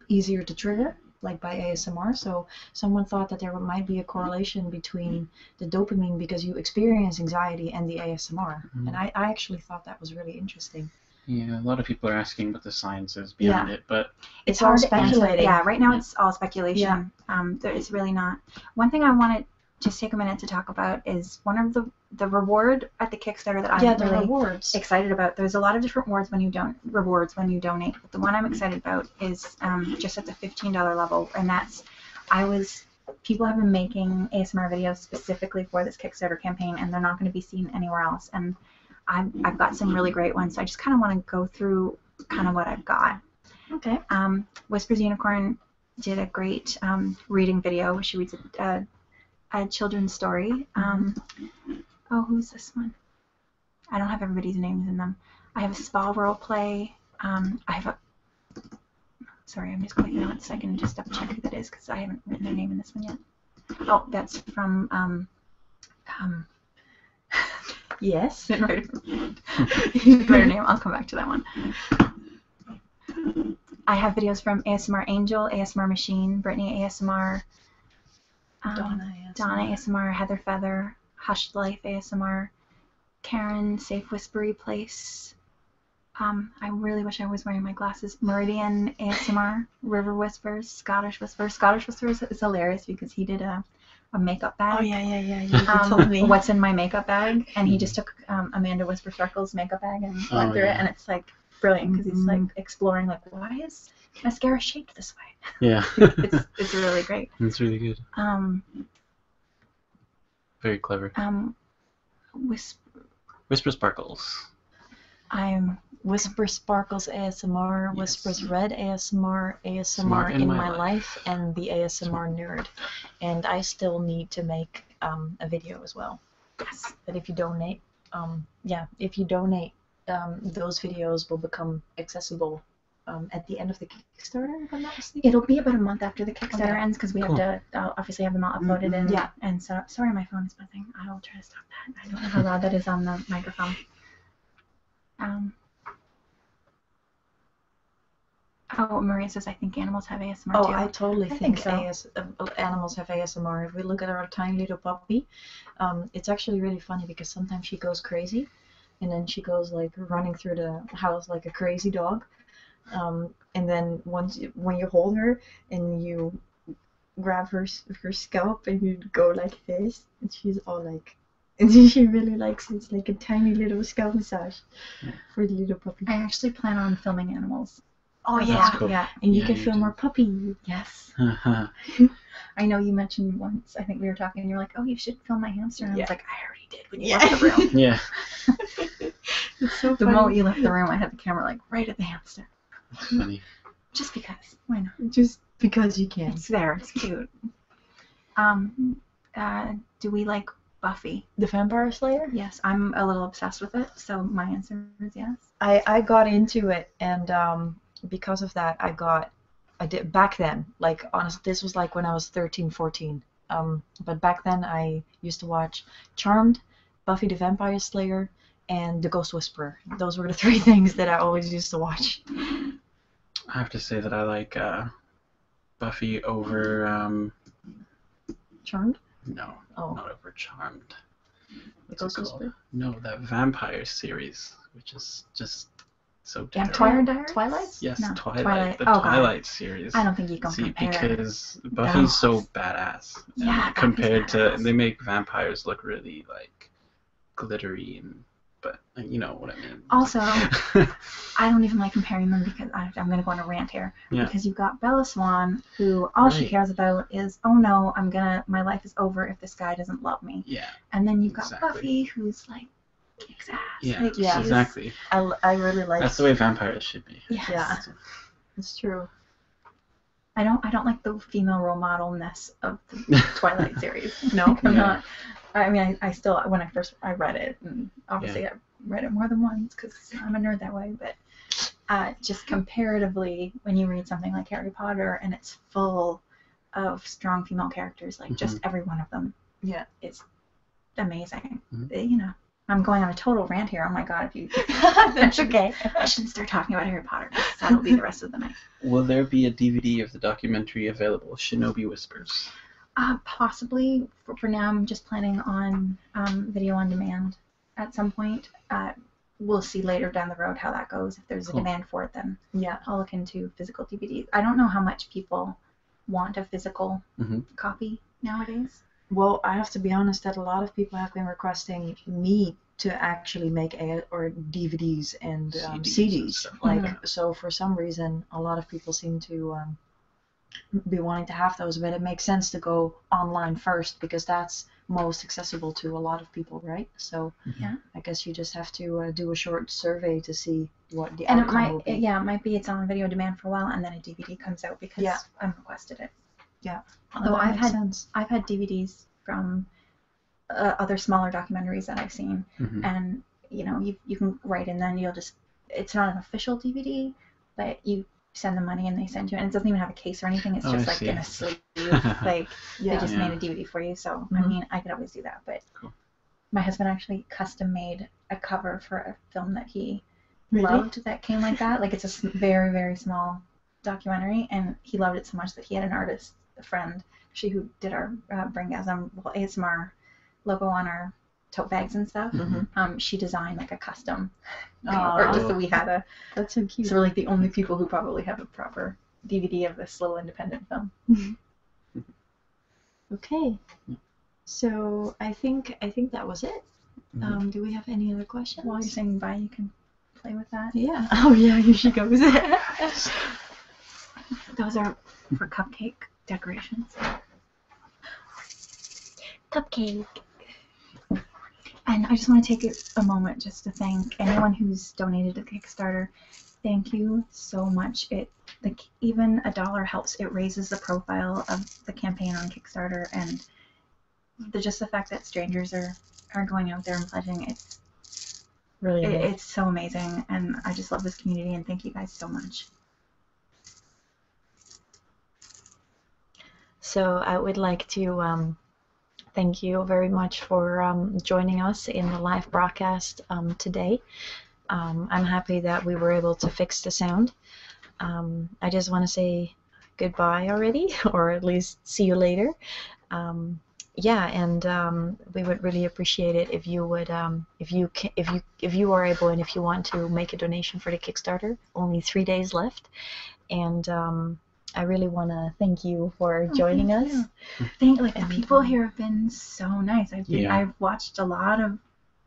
easier to trigger like by ASMR so someone thought that there might be a correlation between the dopamine because you experience anxiety and the ASMR mm-hmm. and I, actually thought that was really interesting yeah, a lot of people are asking what the science is behind it, but it's all speculating. Yeah, right now it's all speculation. Yeah. Um, there is really not. One thing I wanted just take a minute to talk about is one of the the reward at the Kickstarter that I'm really excited about. There's a lot of different rewards when you don't rewards when you donate, but the one I'm excited about is um, just at the $15 level, and that's I was people have been making ASMR videos specifically for this Kickstarter campaign, and they're not going to be seen anywhere else. And I've I've got some really great ones, so I just kind of want to go through kind of what I've got. Okay. Um, Whispers Unicorn did a great um, reading video. She reads a, children's story. Um, oh, who's this one? I don't have everybody's names in them. I have a spa role play. I have a. Sorry, I'm just going to it so I can just double check who that is because I haven't written their name in this one yet. Oh, that's from yes. Then name. I'll come back to that one. I have videos from ASMR Angel, ASMR Machine, Brittany ASMR, um, Donna, ASMR. Heather Feather, Hushed Life ASMR, Karen, Safe Whispery Place. Um, I really wish I was wearing my glasses. Meridian ASMR, River Whispers, Scottish Whispers. Scottish Whispers is hilarious because he did a a makeup bag. Oh yeah, yeah, yeah. You um, what's in my makeup bag, and he just took um, Amanda Whisper Sparkles' makeup bag and oh, went through it, and it's like brilliant because he's like mm-hmm. exploring like why is mascara shaped this way? Yeah, it's really great. It's really good. Um, very clever. Um, whisper. Whisper Sparkles. I'm Whisper Sparkles ASMR, Whispers Red ASMR, ASMR in, my, life. and the ASMR Nerd and I still need to make um, a video as well. Yes. But if you donate, um, yeah, if you donate, um, those videos will become accessible at the end of the Kickstarter, It'll be about a month after the Kickstarter ends because we have to uh, obviously have them all uploaded mm and yeah. And so sorry, my phone is buzzing. I will try to stop that. I don't know how loud that is on the microphone. Oh, Maria says, I think animals have ASMR oh, I totally think, so. animals have ASMR. If we look at our tiny little puppy, um, it's actually really funny because sometimes she goes crazy and then she goes like running through the house like a crazy dog. Um, and then once when you hold her and you grab her her scalp and you go like this, and she's all like and she really likes It's like a tiny little scalp massage for the little puppy. I actually plan on filming animals. Oh, oh yeah, yeah. And you can you film do. more puppy. Yes. Uh-huh. I know you mentioned once. I think we were talking, and you were like, "Oh, you should film my hamster." And I was like, "I already did when you left the room." yeah. it's so the moment you left the room, I had the camera like right at the hamster. funny. Just because. Why not? Just because you can. It's there. It's cute. Um, uh, do we like Buffy? The Vampire Slayer? Yes, I'm a little obsessed with it, so my answer is yes. I, I got into it, and um, because of that, I got. I did back then, like honestly, this was like when I was 13, 14. Um, but back then, I used to watch Charmed, Buffy the Vampire Slayer, and The Ghost Whisperer. Those were the three things that I always used to watch. I have to say that I like uh, Buffy over um, Charmed? No, oh. not over Charmed. What's it Ghost called? No, that vampire series, which is just so Yeah, terrible. Twilight Twilight? Yes, Twilight, the oh, Twilight series. I don't think you can See, because Buffy's so badass. Yeah, compared to they make vampires look really like glittery, and, but you know what I mean. Also, I don't even like comparing them because I, am going to go on a rant here. Yeah. Because you've got Bella Swan, who all she cares about is, oh no, I'm gonna, my life is over if this guy doesn't love me. Yeah. And then you've got Buffy, who's like, kicks ass. Yeah, like, yeah. exactly. I, I really like. That's the way vampires should be. Yes. Yeah. It's true. I don't I don't like the female role modelness of the Twilight series. No, I'm not. I mean, I, I still when I first I read it, and obviously read it more than once because I'm a nerd that way, but uh, just comparatively, when you read something like Harry Potter and it's full of strong female characters, like just mm-hmm. every one of them, yeah, it's amazing. Mm-hmm. You know, I'm going on a total rant here. Oh my god, if you that's okay. I shouldn't start talking about Harry Potter. That'll be the rest of the night. Will there be a DVD of the documentary available, Shinobi Whispers? Uh, possibly for, for, now, I'm just planning on um, video on demand at some point. Uh, we'll see later down the road how that goes. If there's a demand for it, then yeah, I'll look into physical DVDs. I don't know how much people want a physical mm-hmm. copy nowadays. Well, I have to be honest that a lot of people have been requesting me to actually make a, or DVDs and um, CDs. like mm-hmm. so, for some reason, a lot of people seem to um, be wanting to have those, but it makes sense to go online first because that's most accessible to a lot of people, right? So yeah, I guess you just have to uh, do a short survey to see what the and outcome might, yeah, it might be it's on video demand for a while, and then a DVD comes out because yeah. I'm requested it. Yeah. Although I've had I've had DVDs from uh, other smaller documentaries that I've seen, mm-hmm. and you know, you, you can write and then you'll just, it's not an official DVD, but you send the money and they send you, and it doesn't even have a case or anything. It's oh, just like in a sleeve. like they just made a DVD for you. So I mm-hmm. mean, I could always do that. But my husband actually custom made a cover for a film that he loved that came like that. Like it's a very very small documentary, and he loved it so much that he had an artist a friend, she who did our uh, Bringasm well, ASMR logo on our tote bags and stuff. Mm-hmm. um, she designed like a custom cover oh, just so we had a. That's so cute. So we're like the only people who probably have a proper DVD of this little independent film. okay, so I think I think that was it. Mm-hmm. um, do we have any other questions? While you're saying bye, you can play with that. Yeah. Oh yeah, you should go with goes. Those are for cupcake decorations cupcake. And I just want to take a moment just to thank anyone who's donated to Kickstarter. Thank you so much. It even a dollar helps. It raises the profile of the campaign on Kickstarter, and the just the fact that strangers are are going out there and pledging it's really it's so amazing. And I just love this community, and thank you guys so much. So I would like to um, thank you very much for um, joining us in the live broadcast um, today. I'm happy that we were able to fix the sound. I just want to say goodbye already, or at least see you later. yeah, and we would really appreciate it if you would if you can, if you if you are able and if you want to make a donation for the Kickstarter, only three days left, and um, I really want to thank you for oh, joining thank us. You. Thank like the people here have been so nice. I've yeah. I've watched a lot of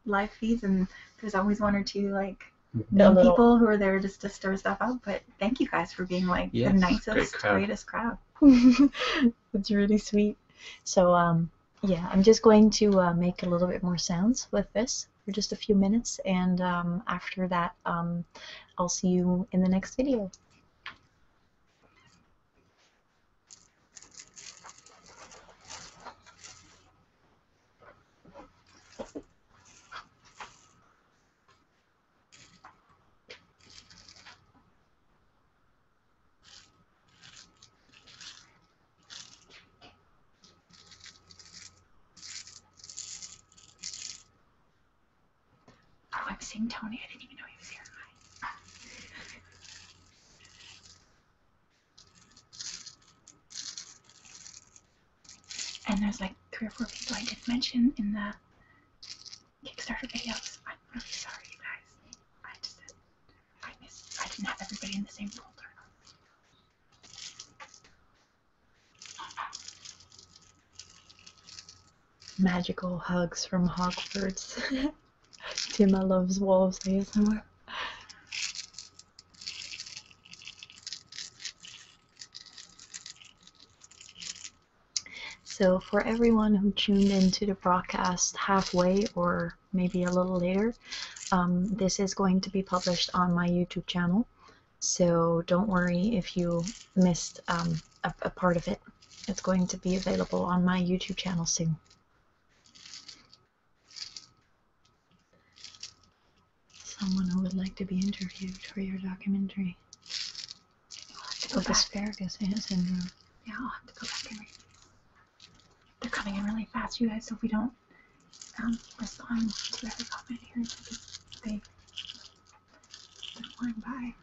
live feeds and there's always one or two like no people who are there just to stir stuff up. But thank you guys for being like the nicest, greatest crowd. it's really sweet. So um, yeah, I'm just going to uh, make a little bit more sounds with this for just a few minutes, and um, after that, um, I'll see you in the next video. Oh, I'm seeing Tony. I didn't even know he was here. and there's like three or four people I didn't mention in the Kickstarter videos. I'm really sorry, guys. I just I missed. I didn't have everybody in the same folder. Magical hugs from Hogwarts. Tima loves wolves I ASMR. So, for everyone who tuned into the broadcast halfway or maybe a little later. Um, this is going to be published on my YouTube channel, so don't worry if you missed um, a, part of it. It's going to be available on my YouTube channel soon. Someone who would like to be interviewed for your documentary. With asparagus syndrome. Yeah, they're coming in really fast, you guys. So if we don't um, respond to every comment here, they they're by.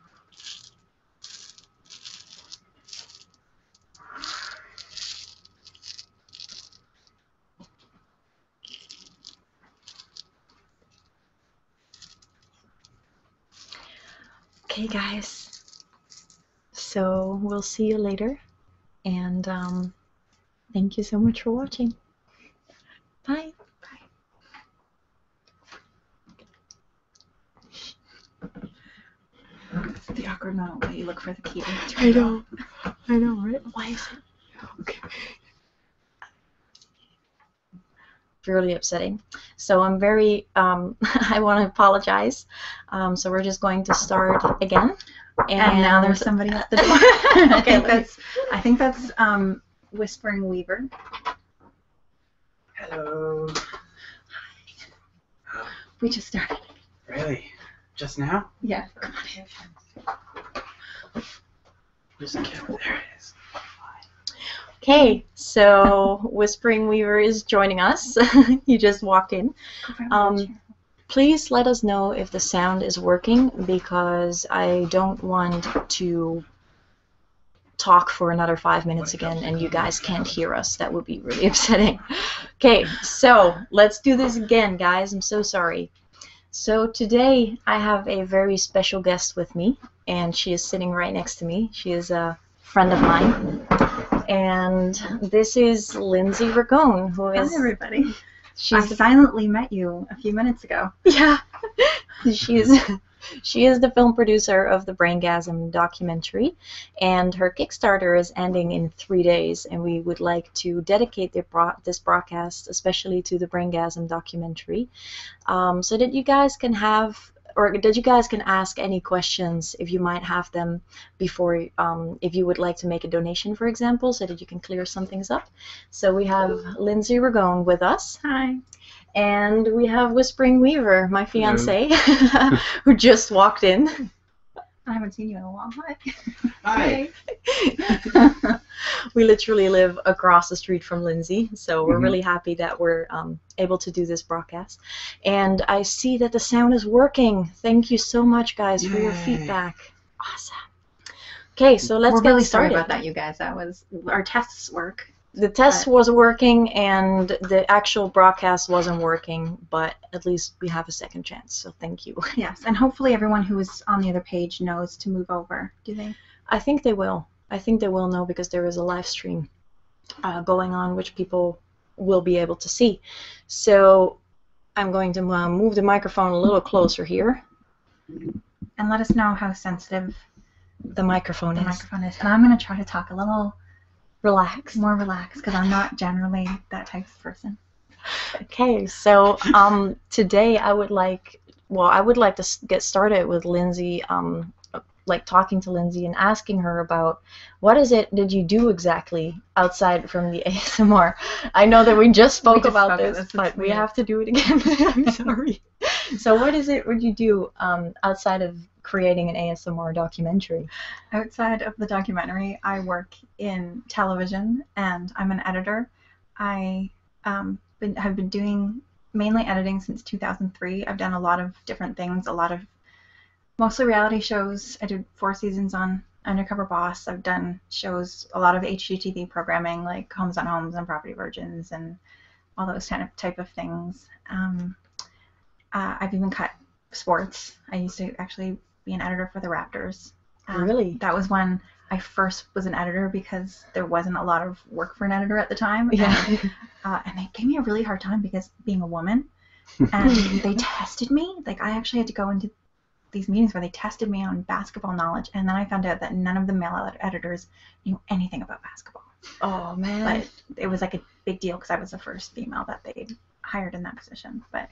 Okay, guys, so we'll see you later, and um, thank you so much for watching. Bye. The awkward moment you look for the key. To I know. I know, right? Why is it? Okay. Really upsetting. So I'm very. Um, I want to apologize. Um, so we're just going to start again. And, now there's somebody at the door. I think that's I think that's Whispering Weaver. Hello. Hi. We just started. Really? Just now? Yeah. Come on in. Where's the camera? Okay, so Whispering Weaver is joining us. you just walked in. Please let us know if the sound is working because I don't want to talk for another five minutes again and you guys can't hear us. That would be really upsetting. okay, so let's do this again, guys. I'm so sorry. So today I have a very special guest with me and she is sitting right next to me. She is a friend of mine. And this is is Lindsay Ragone, who is. everybody. She's silently met you a few minutes ago. Yeah. she's. She is the film producer of the Braingasm documentary, and her Kickstarter is ending in three days. And we would like to dedicate this broadcast, especially to the Braingasm documentary, um, so that you guys can have, or that you guys can ask any questions if you might have them before um, if you would like to make a donation, for example, so that you can clear some things up. So we have Lindsay Rigon with us. Hi. And we have Whispering Weaver, my fiance, who just walked in. I haven't seen you in a while. Hi. Hi. we literally live across the street from Lindsay, so we're mm-hmm. really happy that we're um, able to do this broadcast. And I see that the sound is working. Thank you so much, guys, for your feedback. Awesome. Okay, so let's We're get really sorry about that, you guys. That was our tests work. The test was working, and the actual broadcast wasn't working. But at least we have a second chance. So thank you. Yes, and hopefully everyone who was on the other page knows to move over. Do they? I think they will. I think they will know because there is a live stream uh, going on, which people will be able to see. So I'm going to um, move the microphone a little closer here. And let us know how sensitive the microphone the microphone is. And I'm going to try to talk a little relaxed, more relaxed, because I'm not generally that type of person. Okay, so um, today I would like, well, I would like to get started with Lindsay, um, like talking to Lindsay and asking her about what is it did you do exactly outside from the ASMR. I know that we just spoke about this, but we have to do it again. I'm sorry. so, what is it? Would you do um, outside of creating an ASMR documentary? Outside of the documentary, I work in television, and I'm an editor. I um, have been doing mainly editing since 2003. I've done a lot of different things, a lot of mostly reality shows. I did four seasons on Undercover Boss. I've done shows, a lot of HGTV programming like Homes on Homes and Property Virgins and all those kind of type of things. Um, uh, I've even cut sports. I used to actually be an editor for the Raptors. Um, really? That was when I first was an editor because there wasn't a lot of work for an editor at the time. Yeah. and uh, they gave me a really hard time because being a woman. And they tested me. Like I actually had to go into these meetings where they tested me on basketball knowledge, and then I found out that none of the male editors knew anything about basketball. Oh man! But it was like a big deal because I was the first female that they hired in that position. But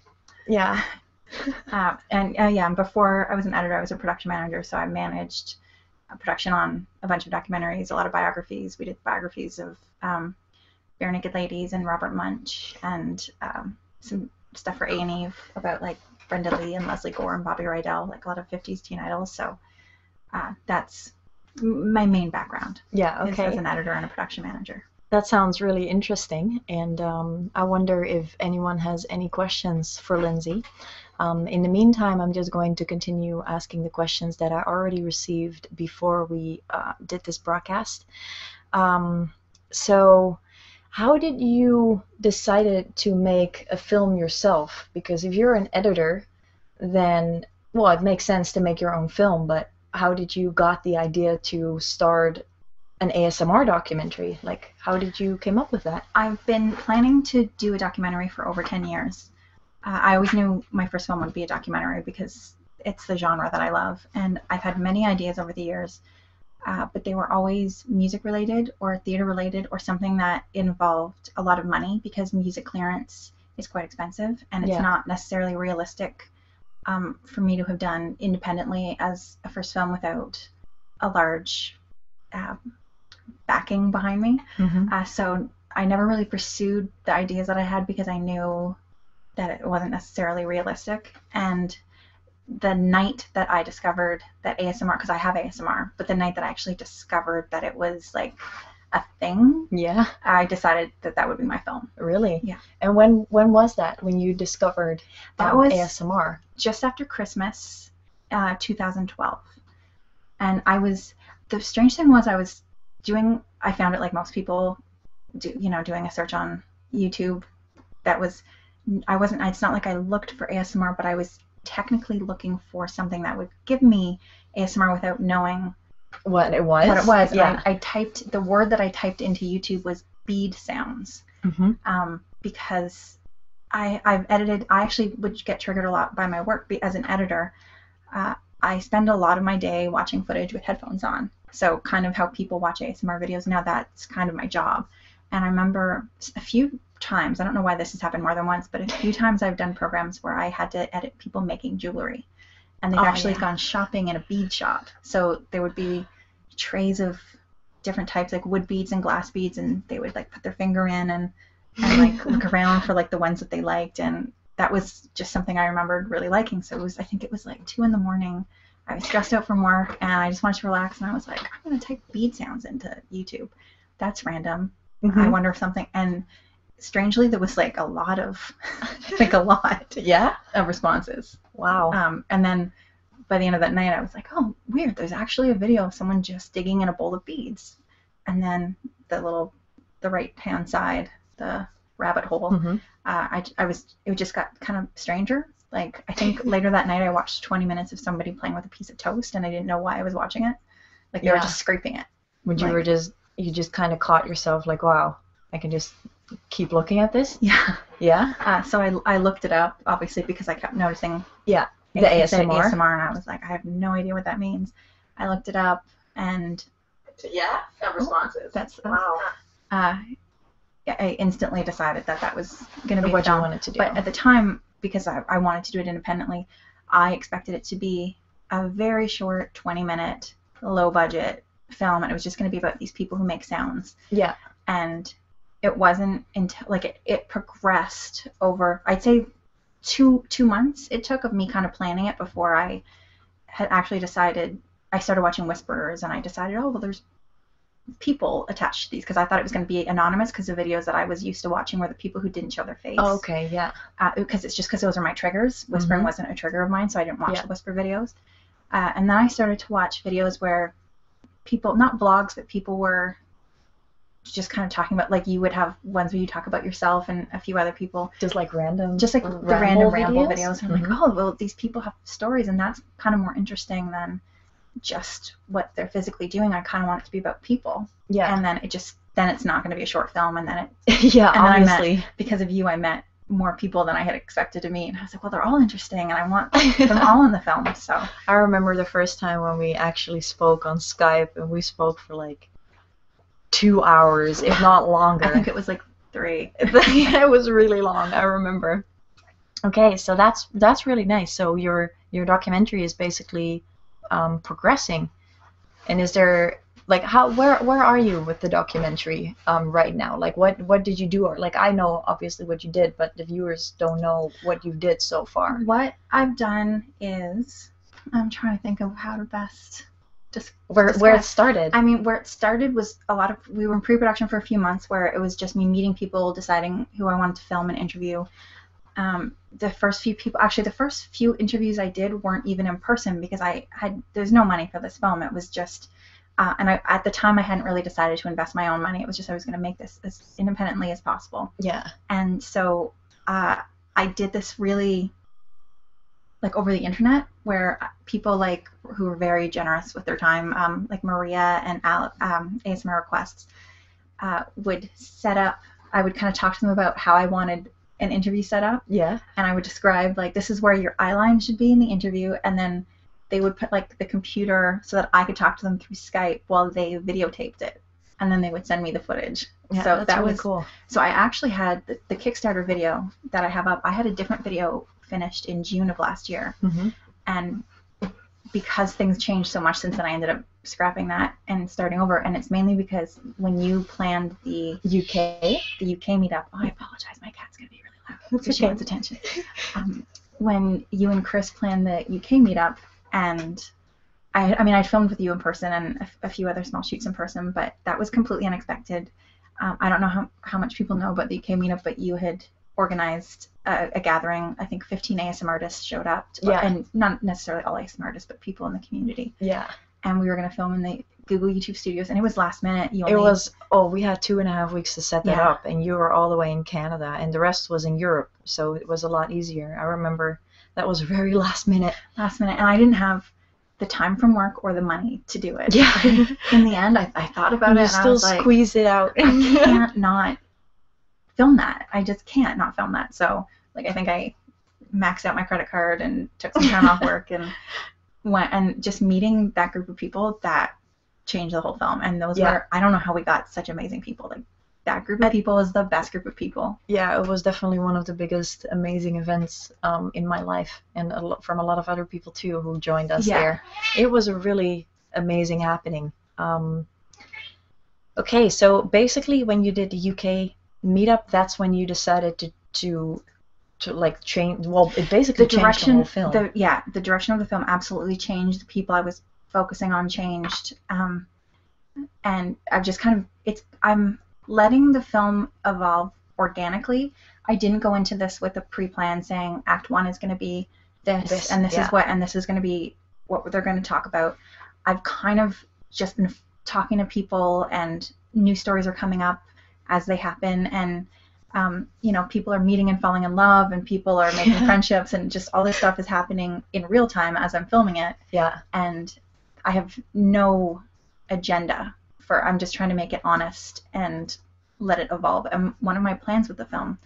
yeah, um, and uh, yeah, before I was an editor, I was a production manager, so I managed uh, production on a bunch of documentaries, a lot of biographies. We did biographies of um, Bare Naked Ladies and Robert Munch, and um, some stuff for A and Eve about like Brenda Lee and Leslie Gore and Bobby Rydell, like a lot of '50s teen idols. So uh, that's my main background. Yeah. Okay. As an editor and a production manager. That sounds really interesting, and um, I wonder if anyone has any questions for Lindsay. Um, in the meantime, I'm just going to continue asking the questions that I already received before we uh, did this broadcast. Um, so, how did you decide to make a film yourself? Because if you're an editor, then well, it makes sense to make your own film. But how did you got the idea to start an ASMR documentary? Like, how did you came up with that? I've been planning to do a documentary for over ten years. Uh, I always knew my first film would be a documentary because it's the genre that I love, and I've had many ideas over the years uh, but they were always music related or theater related or something that involved a lot of money because music clearance is quite expensive and it's not necessarily realistic um, for me to have done independently as a first film without a large um, backing behind me. Mm-hmm. Uh, so I never really pursued the ideas that I had because I knew that it wasn't necessarily realistic. And the night that I discovered that ASMR, because I have ASMR, but the night that I actually discovered that it was like a thing, yeah, I decided that that would be my film. Really? Yeah. And when when was that? When you discovered that um, was ASMR? Just after Christmas, uh, 2012, and I was the strange thing was I was doing. I found it like most people do, you know, doing a search on YouTube that was I wasn't it's not like I looked for ASMR, but I was technically looking for something that would give me ASMR without knowing what it was. What it was. Yeah. I, typed the word that I typed into YouTube was bead sounds mm-hmm. um, because I I've edited. I actually would get triggered a lot by my work be, as an editor. Uh, I spend a lot of my day watching footage with headphones on. So kind of how people watch ASMR videos now that that's kind of my job. And I remember a few times, I don't know why this has happened more than once, but a few times I've done programs where I had to edit people making jewelry. And they've oh, actually gone shopping in a bead shop. So there would be trays of different types, like wood beads and glass beads, and they would like put their finger in and, and like look around for like the ones that they liked. And that was just something I remembered really liking. So it was, I think it was like two in the morning I was stressed out from work and I just wanted to relax, and I was like, I'm going to type bead sounds into YouTube. That's random. I mm-hmm. wonder if something. And strangely, there was like a lot of, like a lot, yeah, of responses. Wow. Um, and then by the end of that night, I was like, oh, weird. There's actually a video of someone just digging in a bowl of beads, and then the little, the right hand side, the rabbit hole. Mm-hmm. Uh, I, I was it just got kind of stranger. Like I think later that night I watched 20 minutes of somebody playing with a piece of toast and I didn't know why I was watching it. Like they were just scraping it. Would you were just you just kind of caught yourself like wow I can just keep looking at this. Yeah. Yeah. Uh, so I I looked it up obviously because I kept noticing. Yeah. The ASMR. ASMR and I was like I have no idea what that means. I looked it up and. Yeah. Oh, responses. wow. Uh, I instantly decided that that was going to be what I wanted to do. But at the time, because I, wanted to do it independently, I expected it to be a very short, 20 minute, low budget film, and it was just going to be about these people who make sounds. Yeah. And it wasn't until like it, it progressed over. I'd say two two months it took of me kind of planning it before I had actually decided. I started watching Whisperers, and I decided, oh well, there's people attached to these because I thought it was going to be anonymous because the videos that I was used to watching were the people who didn't show their face. Oh, okay, yeah. Because uh, it's just because those are my triggers. Whispering mm-hmm. wasn't a trigger of mine, so I didn't watch the whisper videos. Uh, and then I started to watch videos where people, not vlogs, but people were just kind of talking about like you would have ones where you talk about yourself and a few other people just like random just like the random ramble videos, i'm like mm-hmm. oh well these people have stories and that's kind of more interesting than just what they're physically doing. I kind of want it to be about people. Yeah. And then it just then it's not going to be a short film, and then it yeah and obviously because of you I met more people than I had expected to meet, and I was like, well, they're all interesting, and I want them all in the film. So I remember the first time when we actually spoke on Skype, and we spoke for like two hours, if not longer. I think it was like three. it was really long. I remember. Okay, so that's that's really nice. So your your documentary is basically um, progressing, and is there like how where where are you with the documentary um, right now? Like what what did you do? Or like I know obviously what you did, but the viewers don't know what you did so far. What I've done is I'm trying to think of how to best just where where it started. I mean, where it started was a lot of we were in pre-production for a few months where it was just me meeting people, deciding who I wanted to film and interview. Um, the first few people, actually, the first few interviews I did weren't even in person because I had there was no money for this film. It was just, uh, and I at the time I hadn't really decided to invest my own money. It was just I was going to make this as independently as possible. Yeah. And so uh, I did this really like over the internet where people like who were very generous with their time um, like maria and alex email um, ASMR requests, uh, would set up. I would kind of talk to them about how I wanted an interview set up. Yeah. And I would describe like this is where your eye line should be in the interview, and then they would put like the computer so that I could talk to them through Skype while they videotaped it, and then they would send me the footage. Yeah, so that really was cool. So I actually had the, Kickstarter video that I have up. I had a different video finished in June of last year, mm-hmm. and because things changed so much since then, I ended up scrapping that and starting over. And it's mainly because when you planned the UK, the UK meetup, oh, I apologize, my cat's gonna be really loud. That's okay. She wants attention. Um, when you and Chris planned the UK meetup, and I, mean, I filmed with you in person and a, few other small shoots in person, but that was completely unexpected. Um, I don't know how, how much people know about the UK meetup, but you had organized uh, a, gathering. I think 15 ASM artists showed up, yeah. and not necessarily all ASM artists, but people in the community. Yeah. And we were going to film in the Google YouTube Studios, and it was last minute. It was oh, we had two and a half weeks to set that up, and you were all the way in Canada, and the rest was in Europe, so it was a lot easier. I remember that was very last minute. Last minute, and I didn't have the time from work or the money to do it. Yeah. in the end, I, I thought about it. You still squeeze it out. I can't not film that. I just can't not film that. So like I think I maxed out my credit card and took some time off work and went and just meeting that group of people that changed the whole film. And those were I don't know how we got such amazing people. Like that group of people is the best group of people. Yeah, it was definitely one of the biggest amazing events um, in my life, and from a lot of other people too who joined us there. It was a really amazing happening. Um, okay, so basically, when you did the UK meetup, that's when you decided to to to like change. Well, it basically the direction, yeah, the direction of the film absolutely changed. The people I was focusing on changed, um, and I've just kind of it's I'm letting the film evolve organically. I didn't go into this with a pre-plan saying Act One is going to be this, and this is what, and this is going to be what they're going to talk about. I've kind of just been talking to people, and new stories are coming up as they happen, and um, you know, people are meeting and falling in love, and people are making friendships, and just all this stuff is happening in real time as I'm filming it. Yeah. And I have no agenda for. I'm just trying to make it honest and let it evolve. And one of my plans with the film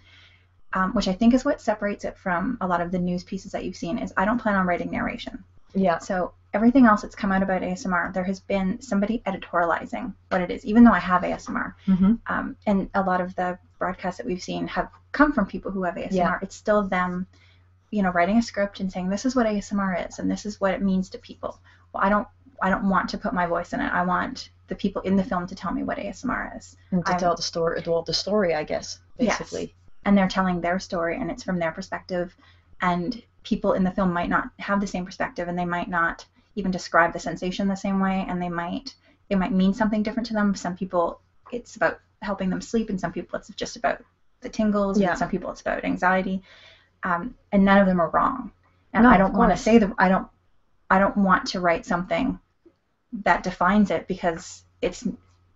um, which I think is what separates it from a lot of the news pieces that you've seen, is I don't plan on writing narration. Yeah. So everything else that's come out about ASMR, there has been somebody editorializing what it is, even though I have ASMR. Mm-hmm. Um, and a lot of the broadcasts that we've seen have come from people who have ASMR. It's still them, you know, writing a script and saying, this is what ASMR is and this is what it means to people. Well, I don't I don't want to put my voice in it. I want the people in the film to tell me what ASMR is. to tell the story, Tell the story, I guess, basically. And they're telling their story, and it's from their perspective. And people in the film might not have the same perspective, and they might not even describe the sensation the same way, and they might it might mean something different to them. Some people, it's about helping them sleep, and some people, it's just about the tingles. Yeah. And some people, it's about anxiety. Um, and none of them are wrong. And I don't want to say that I don't I don't want to write something that defines it because it's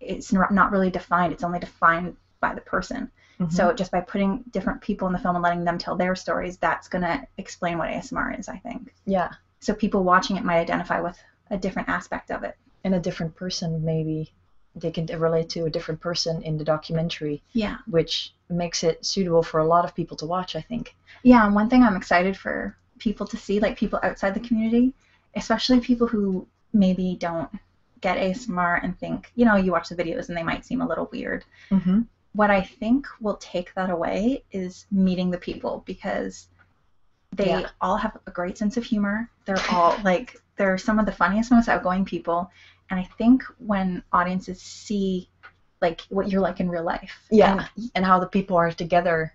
it's not really defined. It's only defined by the person. Mm-hmm. So just by putting different people in the film and letting them tell their stories, that's going to explain what ASMR is, I think. Yeah. So people watching it might identify with a different aspect of it. And a different person, maybe. They can relate to a different person in the documentary. Yeah. Which makes it suitable for a lot of people to watch, I think. Yeah, and one thing I'm excited for people to see, like people outside the community, especially people who maybe don't get ASMR and think, you know, you watch the videos and they might seem a little weird. Mm-hmm. What I think will take that away is meeting the people because they all have a great sense of humor. They're all like, they're some of the funniest, most outgoing people. And I think when audiences see like what you're like in real life, yeah, and how the people are together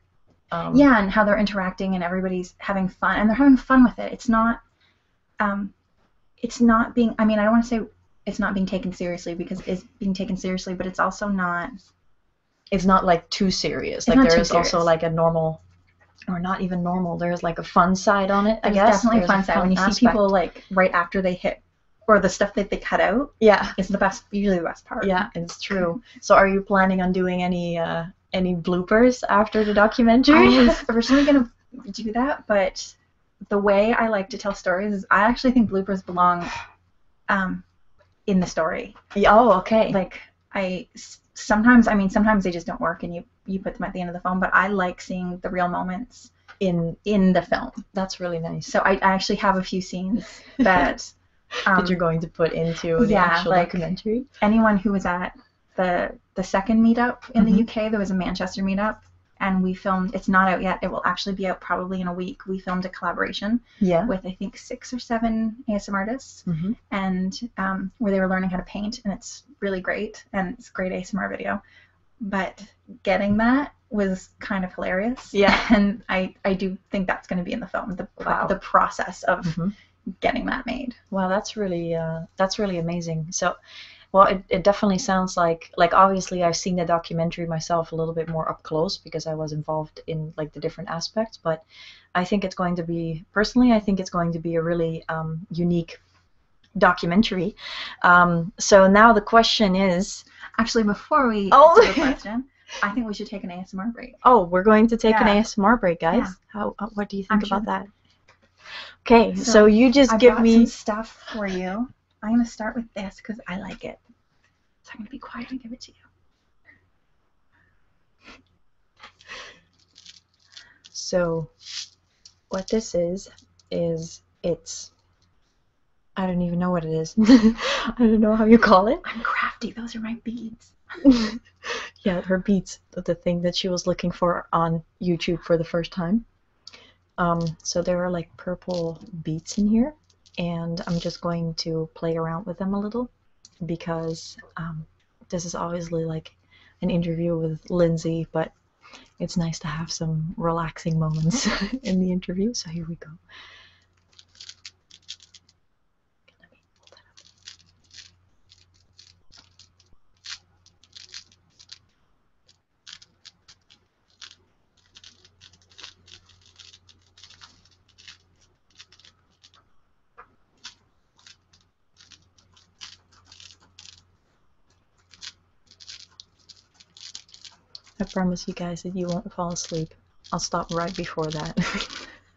um, yeah, and how they're interacting and everybody's having fun and they're having fun with it. It's not, um, it's not being. I mean, I don't want to say it's not being taken seriously because it's being taken seriously, but it's also not. It's not like too serious. Like there is also like a normal, or not even normal. There is like a fun side on it. I guess definitely There's fun side fun when you see people like right after they hit, or the stuff that they cut out yeah. It's the best, usually the best part. Yeah, it's true. So are you planning on doing any uh, any bloopers after the documentary? I was originally gonna do that, but the way I like to tell stories is I actually think bloopers belong um, in the story. Oh, okay. Like I sometimes, I mean, sometimes they just don't work, and you you put them at the end of the film. But I like seeing the real moments in in the film. That's really nice. So I actually have a few scenes that that um, you're going to put into the actual documentary. Anyone who was at the the second meetup in the mm-hmm. UK, there was a Manchester meetup, and we filmed. It's not out yet. It will actually be out probably in a week. We filmed a collaboration yeah. with I think six or seven ASMR artists, mm-hmm. and um, where they were learning how to paint, and it's really great, and it's great ASMR video. But getting that was kind of hilarious. Yeah, and I I do think that's going to be in the film the wow. the process of mm-hmm. getting that made. Wow, that's really uh, that's really amazing. So, well, it, it definitely sounds like like obviously I've seen the documentary myself a little bit more up close because I was involved in like the different aspects. But I think it's going to be personally, I think it's going to be a really um, unique documentary. Um, so now the question is. Actually, before we oh. I think we should take an ASMR break. Oh, we're going to take an ASMR break, guys. Yeah. How? Uh, what do you think about that? Okay, so, you just give me stuff for you. I'm gonna start with this because I like it. So I'm gonna be quiet and give it to you. So, what this is is it's I don't even know what it is. I don't know how you call it. I'm crafty. Those are my beads. yeah, her beats, the thing that she was looking for on YouTube for the first time. Um, so there are like purple beats in here, and I'm just going to play around with them a little because um, this is obviously like an interview with Lindsay, but it's nice to have some relaxing moments in the interview, so here we go. I promise you guys that you won't fall asleep. I'll stop right before that.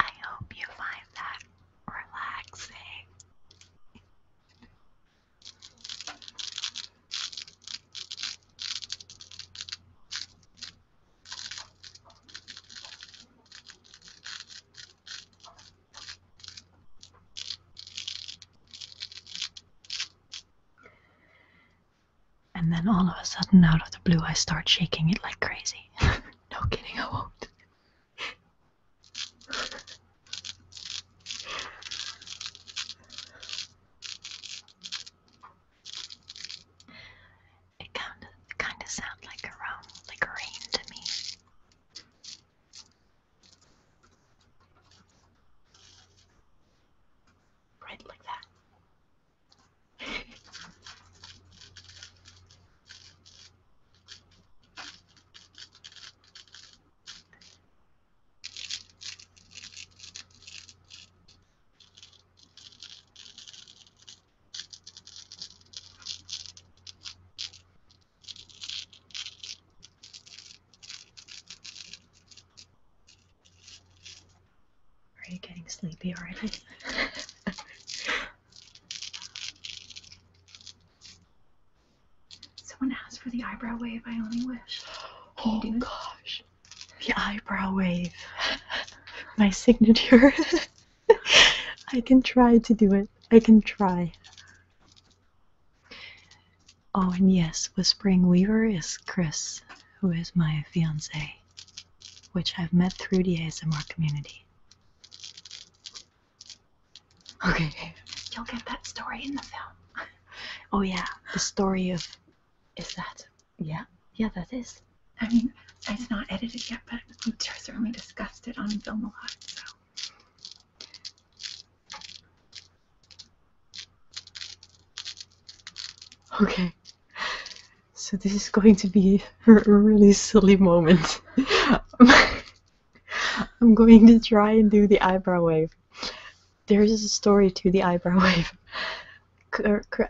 I hope you find that relaxing. And then all of a sudden, out of the blue, I start shaking it like crazy. no kidding, I won't. It kind of kind of sounds like a rain to me right like that. Are you getting sleepy already? Someone asked for the eyebrow wave. I only wish. Can oh gosh, the eyebrow wave. My signature. I can try to do it. I can try. Oh, and yes, Whispering Weaver is Chris, who is my fiancé, which I've met through the ASMR community. Okay, you'll get that story in the film. oh yeah, the story of... Is that... Yeah? Yeah, that is. I mean, it's not edited yet, but we've certainly discussed it on film a lot, so... Okay. So this is going to be a really silly moment. I'm going to try and do the eyebrow wave. There is a story to the eyebrow wave.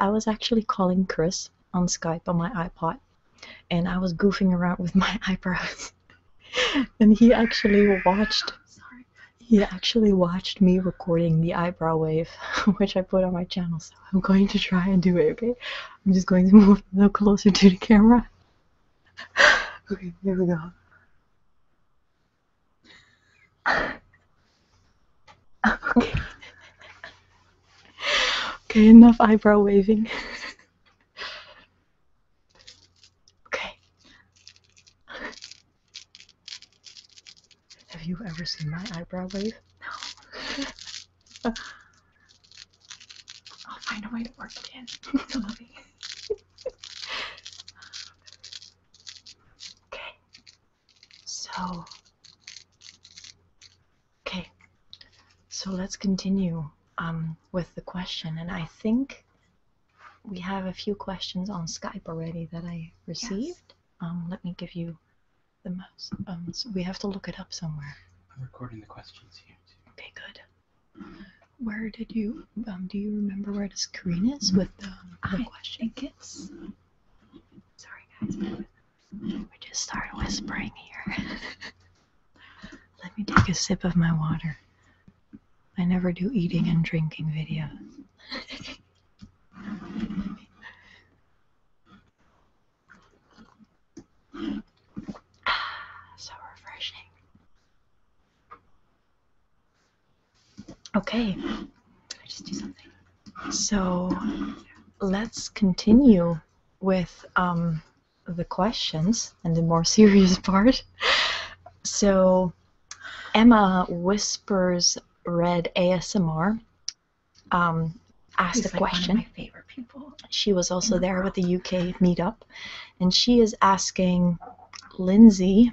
I was actually calling Chris on Skype on my iPod, and I was goofing around with my eyebrows. and he actually watched. He actually watched me recording the eyebrow wave, which I put on my channel, so I'm going to try and do it, okay? I'm just going to move a little closer to the camera. okay, here we go. okay. enough eyebrow waving. okay. Have you ever seen my eyebrow wave? No. I'll find a way to work in. okay. So. Okay. So let's continue um, with the question, and I think we have a few questions on Skype already that I received. Um, let me give you the mouse. Um, we have to look it up somewhere. I'm recording the questions here too. Okay, good. Where did you? Um, do you remember where the screen is with the, question? I Sorry, guys. We are just starting whispering here. Let me take a sip of my water. I never do eating and drinking videos. so refreshing. Okay, I just do something. So let's continue with um, the questions and the more serious part. So Emma whispers read ASMR, um, asked a question. She was also there with the UK meetup, and she is asking Lindsay,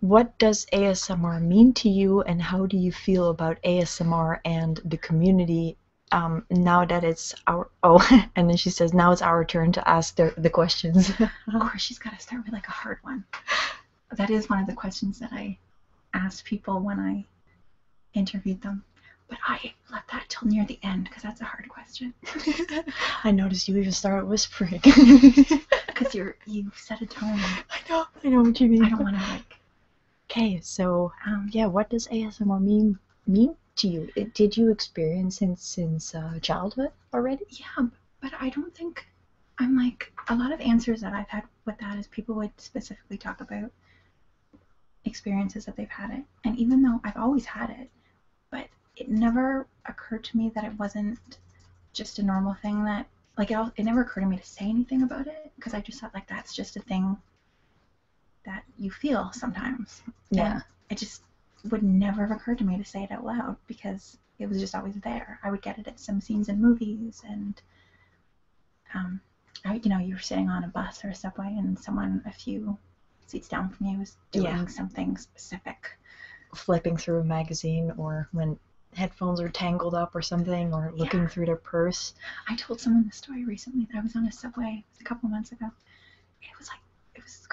what does ASMR mean to you, and how do you feel about ASMR and the community um, now that it's our oh, and then she says, now it's our turn to ask the, the questions. of course, she's got to start with like a hard one. That is one of the questions that I asked people when I interviewed them. But I left that till near the end because that's a hard question. I noticed you even started whispering because you're you set a tone. I know, I know what you mean. I don't want to like. Okay, so um, yeah, what does ASMR mean? Mean? to you. Did you experience since since uh, childhood already? Yeah, but I don't think I'm like a lot of answers that I've had with that is people would specifically talk about experiences that they've had it, and even though I've always had it, but it never occurred to me that it wasn't just a normal thing that like it, all. it never occurred to me to say anything about it because I just thought like that's just a thing that you feel sometimes. Yeah. And it just would never have occurred to me to say it out loud because it was just always there. I would get it at some scenes in movies, and um, I, you know, you were sitting on a bus or a subway, and someone a few seats down from you was doing something specific. Flipping through a magazine, or when headphones are tangled up or something, or looking through their purse. I told someone the story recently that I was on a subway a couple months ago. It was like it was crazy